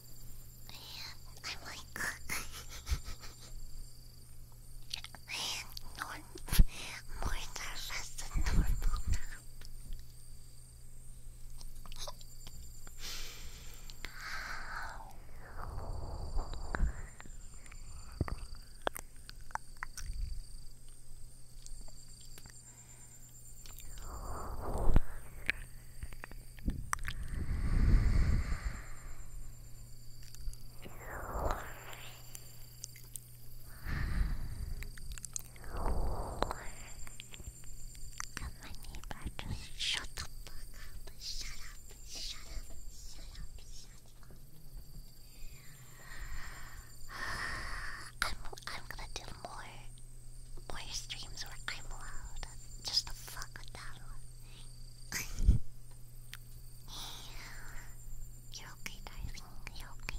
I'm like, *laughs* man, norm more nervous than normal now. Can my neighbor just shut the fuck up? Shut up, shut up, shut up, shut up. I'm, I'm gonna do more Boy's dreams where I'm allowed. Just to fuck with that *laughs* you okay, darling. You're okay.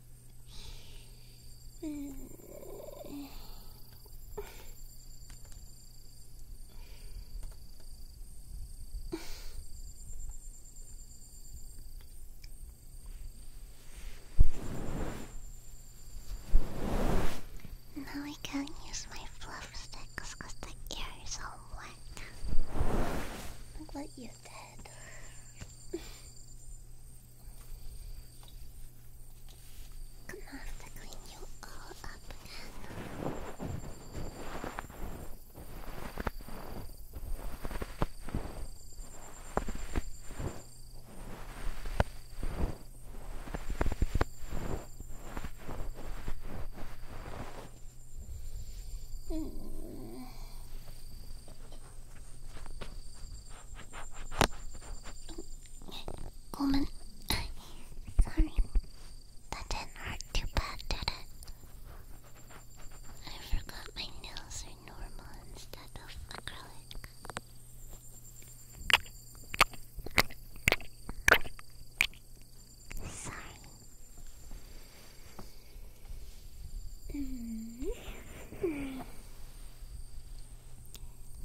Now I can't use my fluff sticks because the ear is all wet. Look what you did. I'm gonna clean you all up again. Mm. ごめん Sorry That didn't hurt too bad did it? I forgot my nails are normal instead of acrylic Sorry.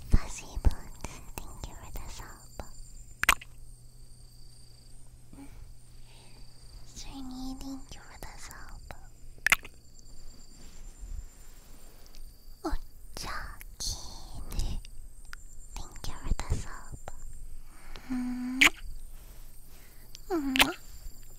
Fuzzy Boots, thank you for the sub. Srini, thank you for the sub. Ochakine, thank you for the sub.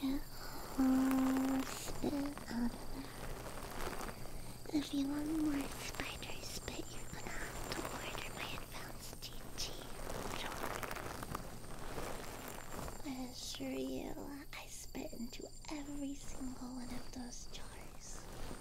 Get all spit out If you want more spider spit, you're gonna have to order my advanced GG drawer. I assure you, I spit into every single one of those jars.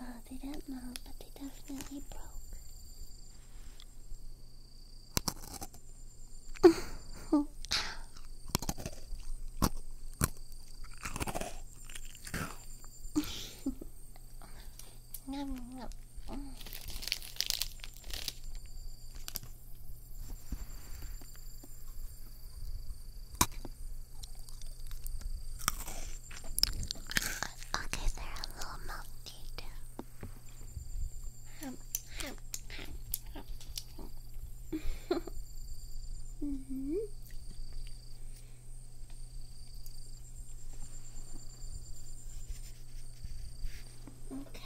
Oh, they don't know, but they definitely broke. *laughs* nom, nom. Okay, a little melty *laughs* Okay.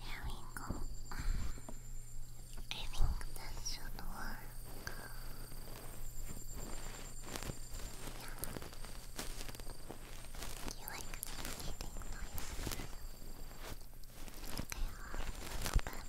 Here we I think that should work. Yeah. You like eating noises? Okay, i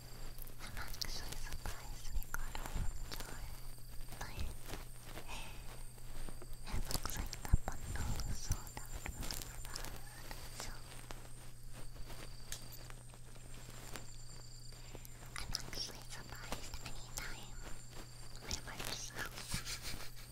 I'm actually surprised we got all of joy. Like, it looks like the bundle sold out really fast, so... I'm actually surprised any time my merch sells I just,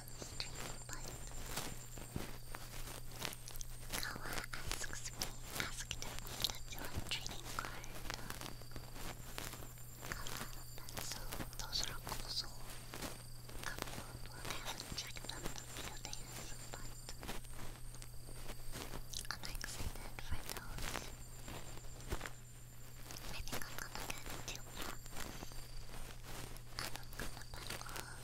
wants to asks me, asked me to do trading card. Kawa, but so those are also available. I haven't checked them in but I'm excited for those. I think I'm gonna get two I'm gonna buy all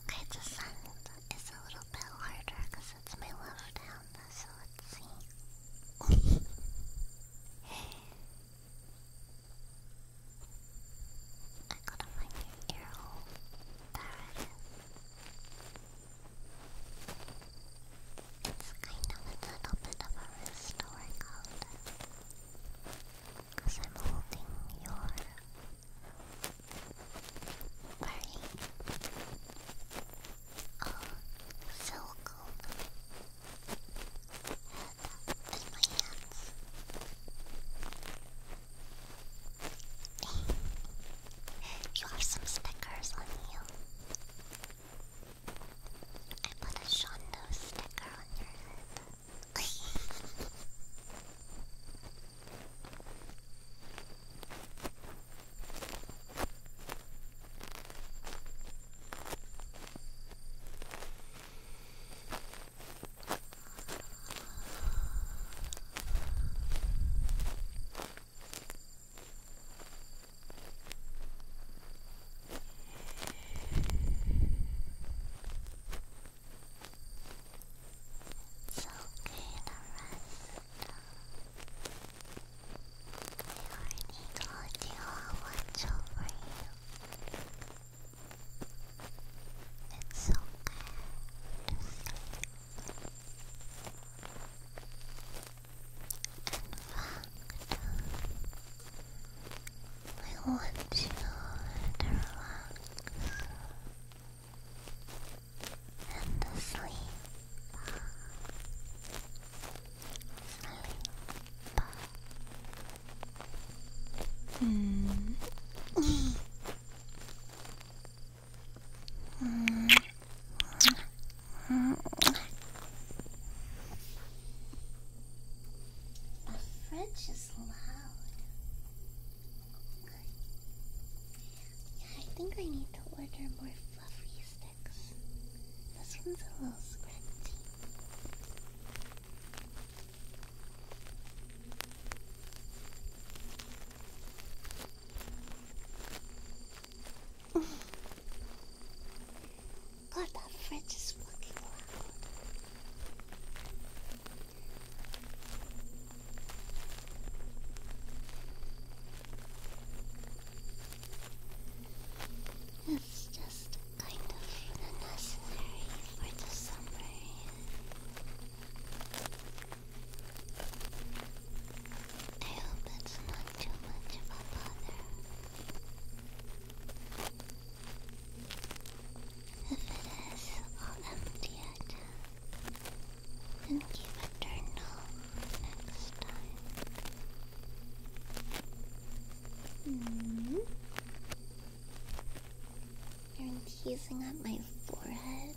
Okay, the sound is a little bit harder because it's my left hand, so let's see. *laughs* I gotta find your kind of a little bit of a restoring because I'm holding your very uh, oh, so head in my hands. you have some stickers on you. I put a Shondo sticker on your head. *laughs* It's okay to rest. already told you I'll watch over you. It's okay to sleep. In fact, I want to relax and sleep. Sleep. Mm. mm. Mm. But French is loud. I think I need to order more fluffy sticks. This one's a little scratchy. *laughs* God, that fridge is fucking loud. It's just kind of unnecessary for the summer. I hope it's not too much of a bother. If it is all empty yet, then keep it turned off next time. You're teasing at my forehead.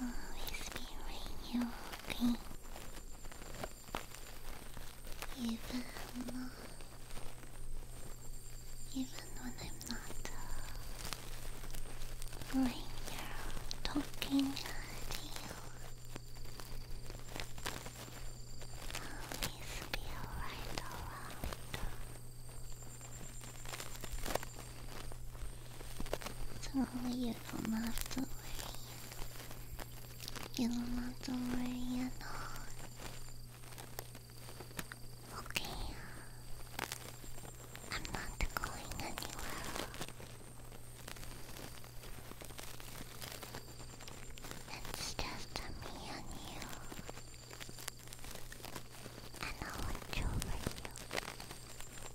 always be right here, okay? Even, uh, even when I'm not uh, right talking to you, always be alright, alright. So you don't have to You don't have to worry Okay. I'm not going anywhere. It's just me and you. And I'll enjoy you.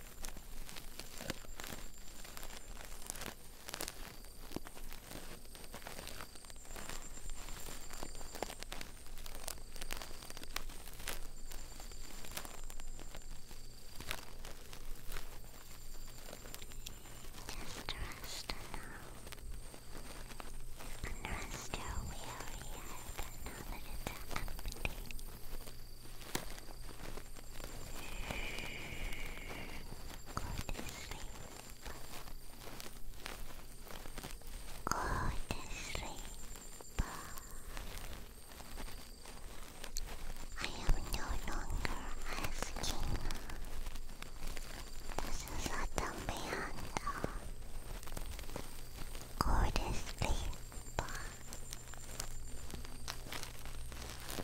Just rest now. rest your weary head now that it's Go to sleep. I am no longer asking. This is a dumb hand. Go to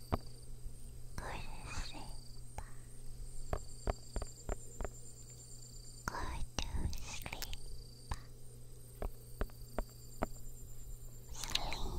Go to sleep. Go to sleep. Sleep. Sleep. Sleep.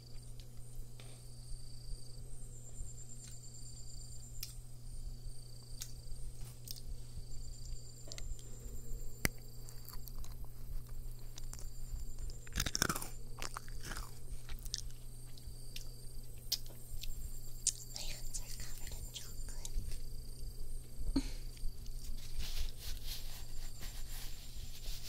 My hands are covered in chocolate. *laughs*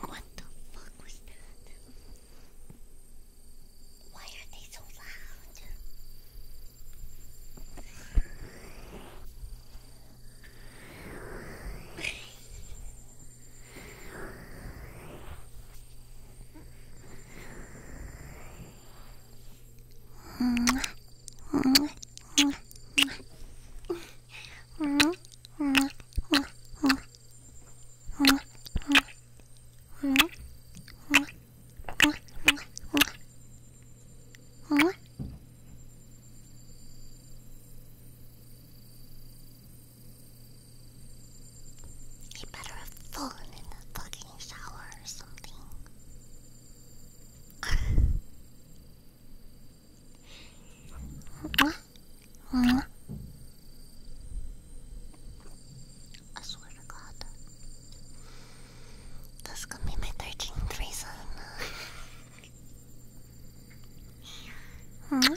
What the fuck was that? Why are they so loud? *laughs* He better have fallen in the fucking shower or something. I swear to God. This could be my 13th reason. *laughs*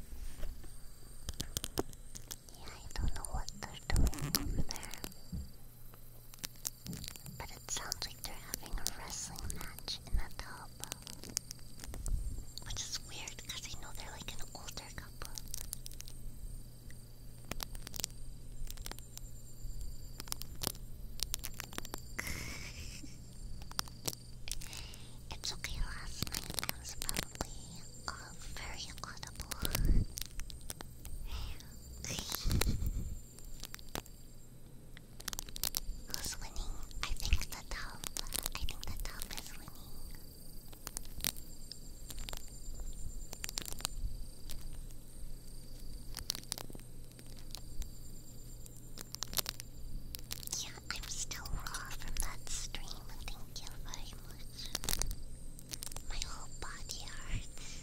Yeah, I don't know what they're doing over there. But it sounds like they're having a wrestling match in that tub. Which is weird because I know they're like an older couple. *laughs* It's okay, last night I was probably uh, very audible. *laughs* Who's winning? I think the top. I think the top is winning. Yeah, I'm still raw from that stream. Thank you very much. My whole body hurts.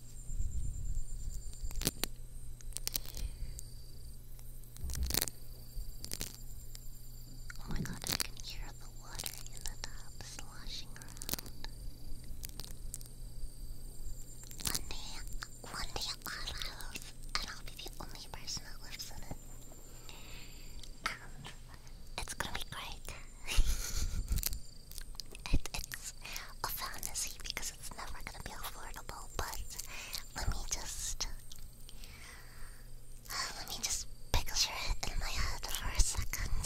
Oh my god, I can hear the water in the tub sloshing around. One day, one day I'll have, and I'll be the only person that lives in it. Um, it's gonna be great. *laughs* it, it's a fantasy because it's never gonna be affordable, but let me just *sighs* let me just picture it in my head for a second.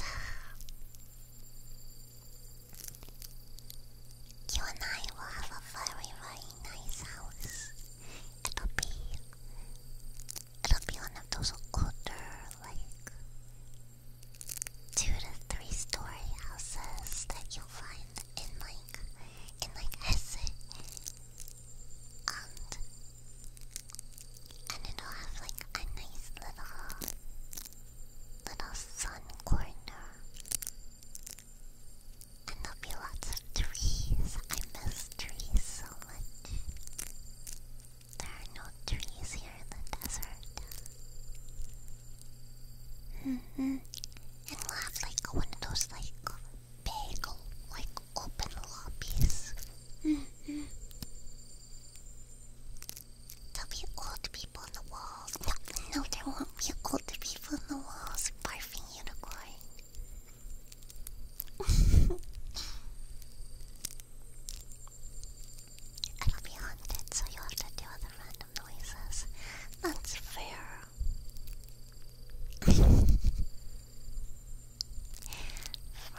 You and I will have a very, very nice house. It'll be it'll be one of those older like two to three story houses that you'll find in like in like Hesse and and it'll have like a nice little little sun corner and there'll be lots of trees. I miss trees so much. There are no trees here in the desert hmm And we like one of those like big like open lobbies. Mm-hmm. There'll be old people in the walls. No, there won't be old people in the walls barfing *laughs* unicorn. It'll be haunted, so you'll have to do other random noises. That's fair. Rosie,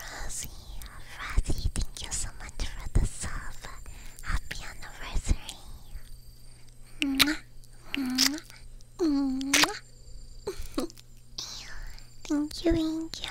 Rosie, thank you so much for the song. Happy anniversary. Mwah, mwah, mwah. thank you, thank you.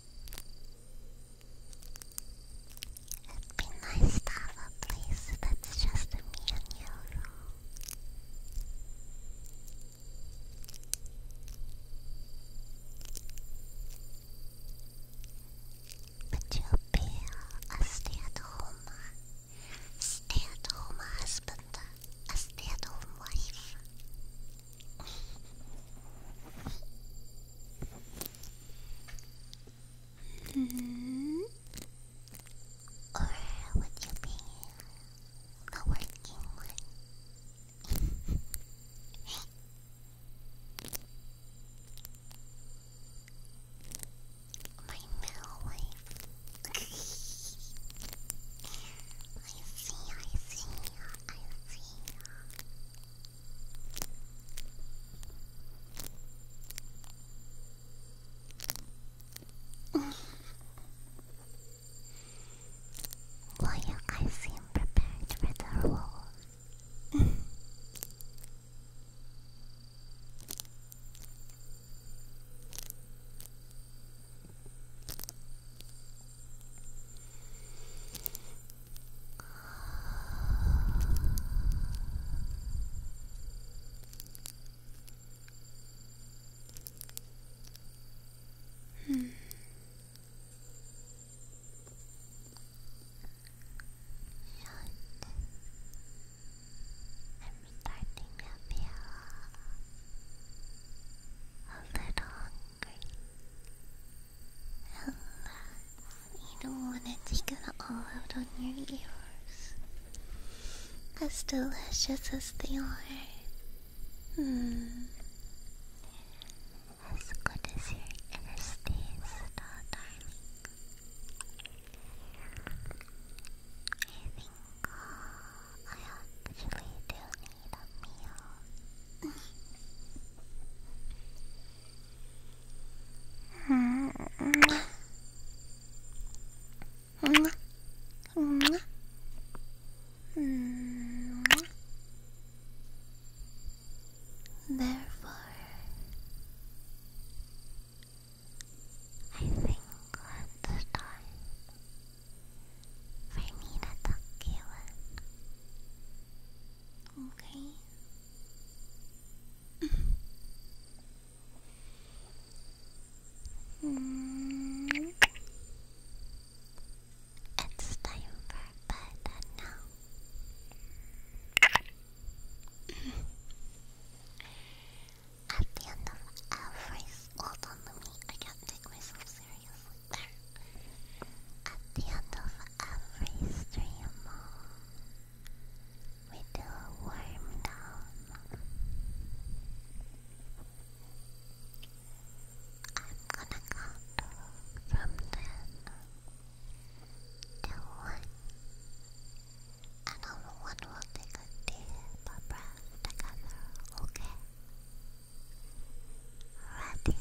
It'd be nice to have a place that's just me and you. But you'll be a stay-at-home, stay husband, a stay wife. *laughs* -hmm. Or would you be the working one? *laughs* My middle wife. *laughs* I see, I see, I see well, you guys seem prepared for the rules. Hmm. I'm starting to feel a little you don't want to take it all out on your ears. As delicious as they are. Hmm. As good as your ears taste, I think oh, I actually do need a meal. *laughs* Therefore, I think it's time for me to talk you Okay. mm. It's time for bed now. At the end of every hold on to me, I can't take myself seriously. There. At the end of every stream, we do a warm down. I'm gonna count from ten to one. And only will take a deep breath together, okay? Ready?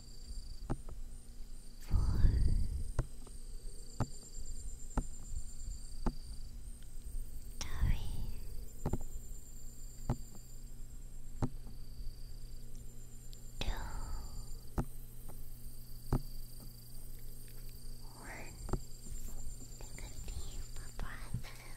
four, three, two, one. Take a deep breath in.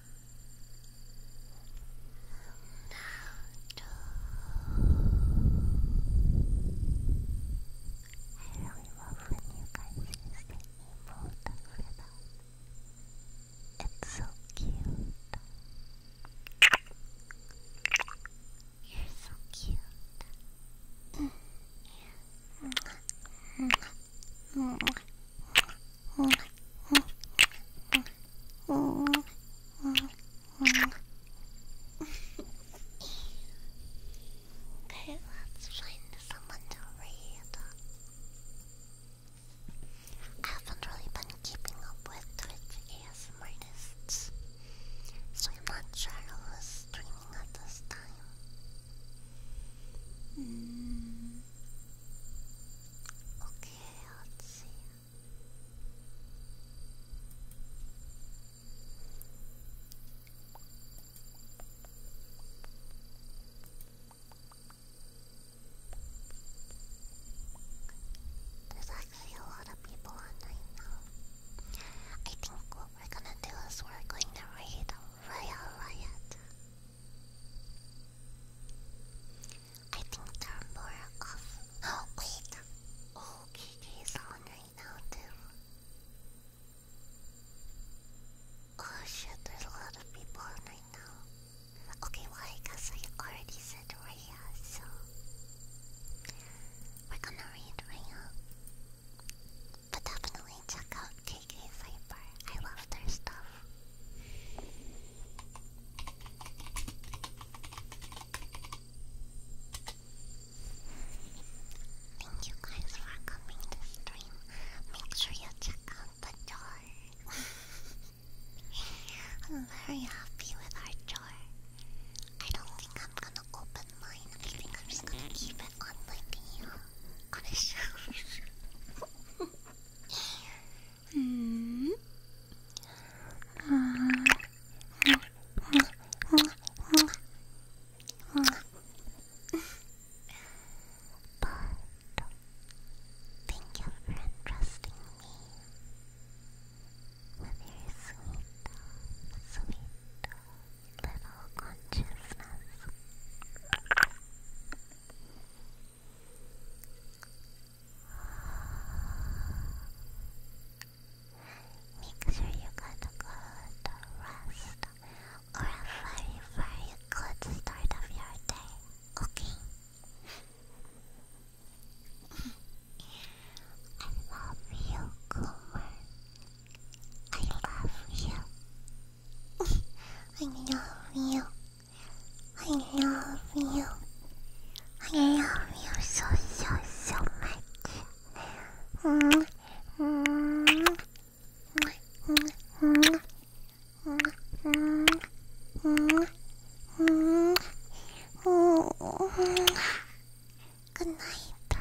love when you guys use the emote for that. It's so cute. You're so cute. Mm. Mm okay, let's find someone to read. I haven't really been keeping up with Twitch ASM so I'm not sure who's streaming at this time. Hmm. Okay, let's see. There's actually a lot of people on now. I think what we're gonna do is we're going to read Royal Riot. I think they're more of. Oh, *gasps* wait! Oh, on right now, too. Oh shit, there's a lot of people on right now. Okay, well, I already said Raya, so. We're gonna read Raya. But definitely check out KK Cypher. I love their stuff. Thank you guys for coming to stream. Make sure you check out the jar. *laughs* I'm very happy with our jar. I don't think I'm gonna open mine. I think I'm just gonna keep it on my video. On a shelf. But thank you for entrusting me with your sweet, sweet little consciousness. Make sure you gotta go rest or a very, very good start of your day, okay? I love you, Coomer. I love you. *laughs* I love you. *laughs* I love you. I love you so so so much. Mm -hmm. Mm -hmm. Mm -hmm. Mm -hmm. Good night.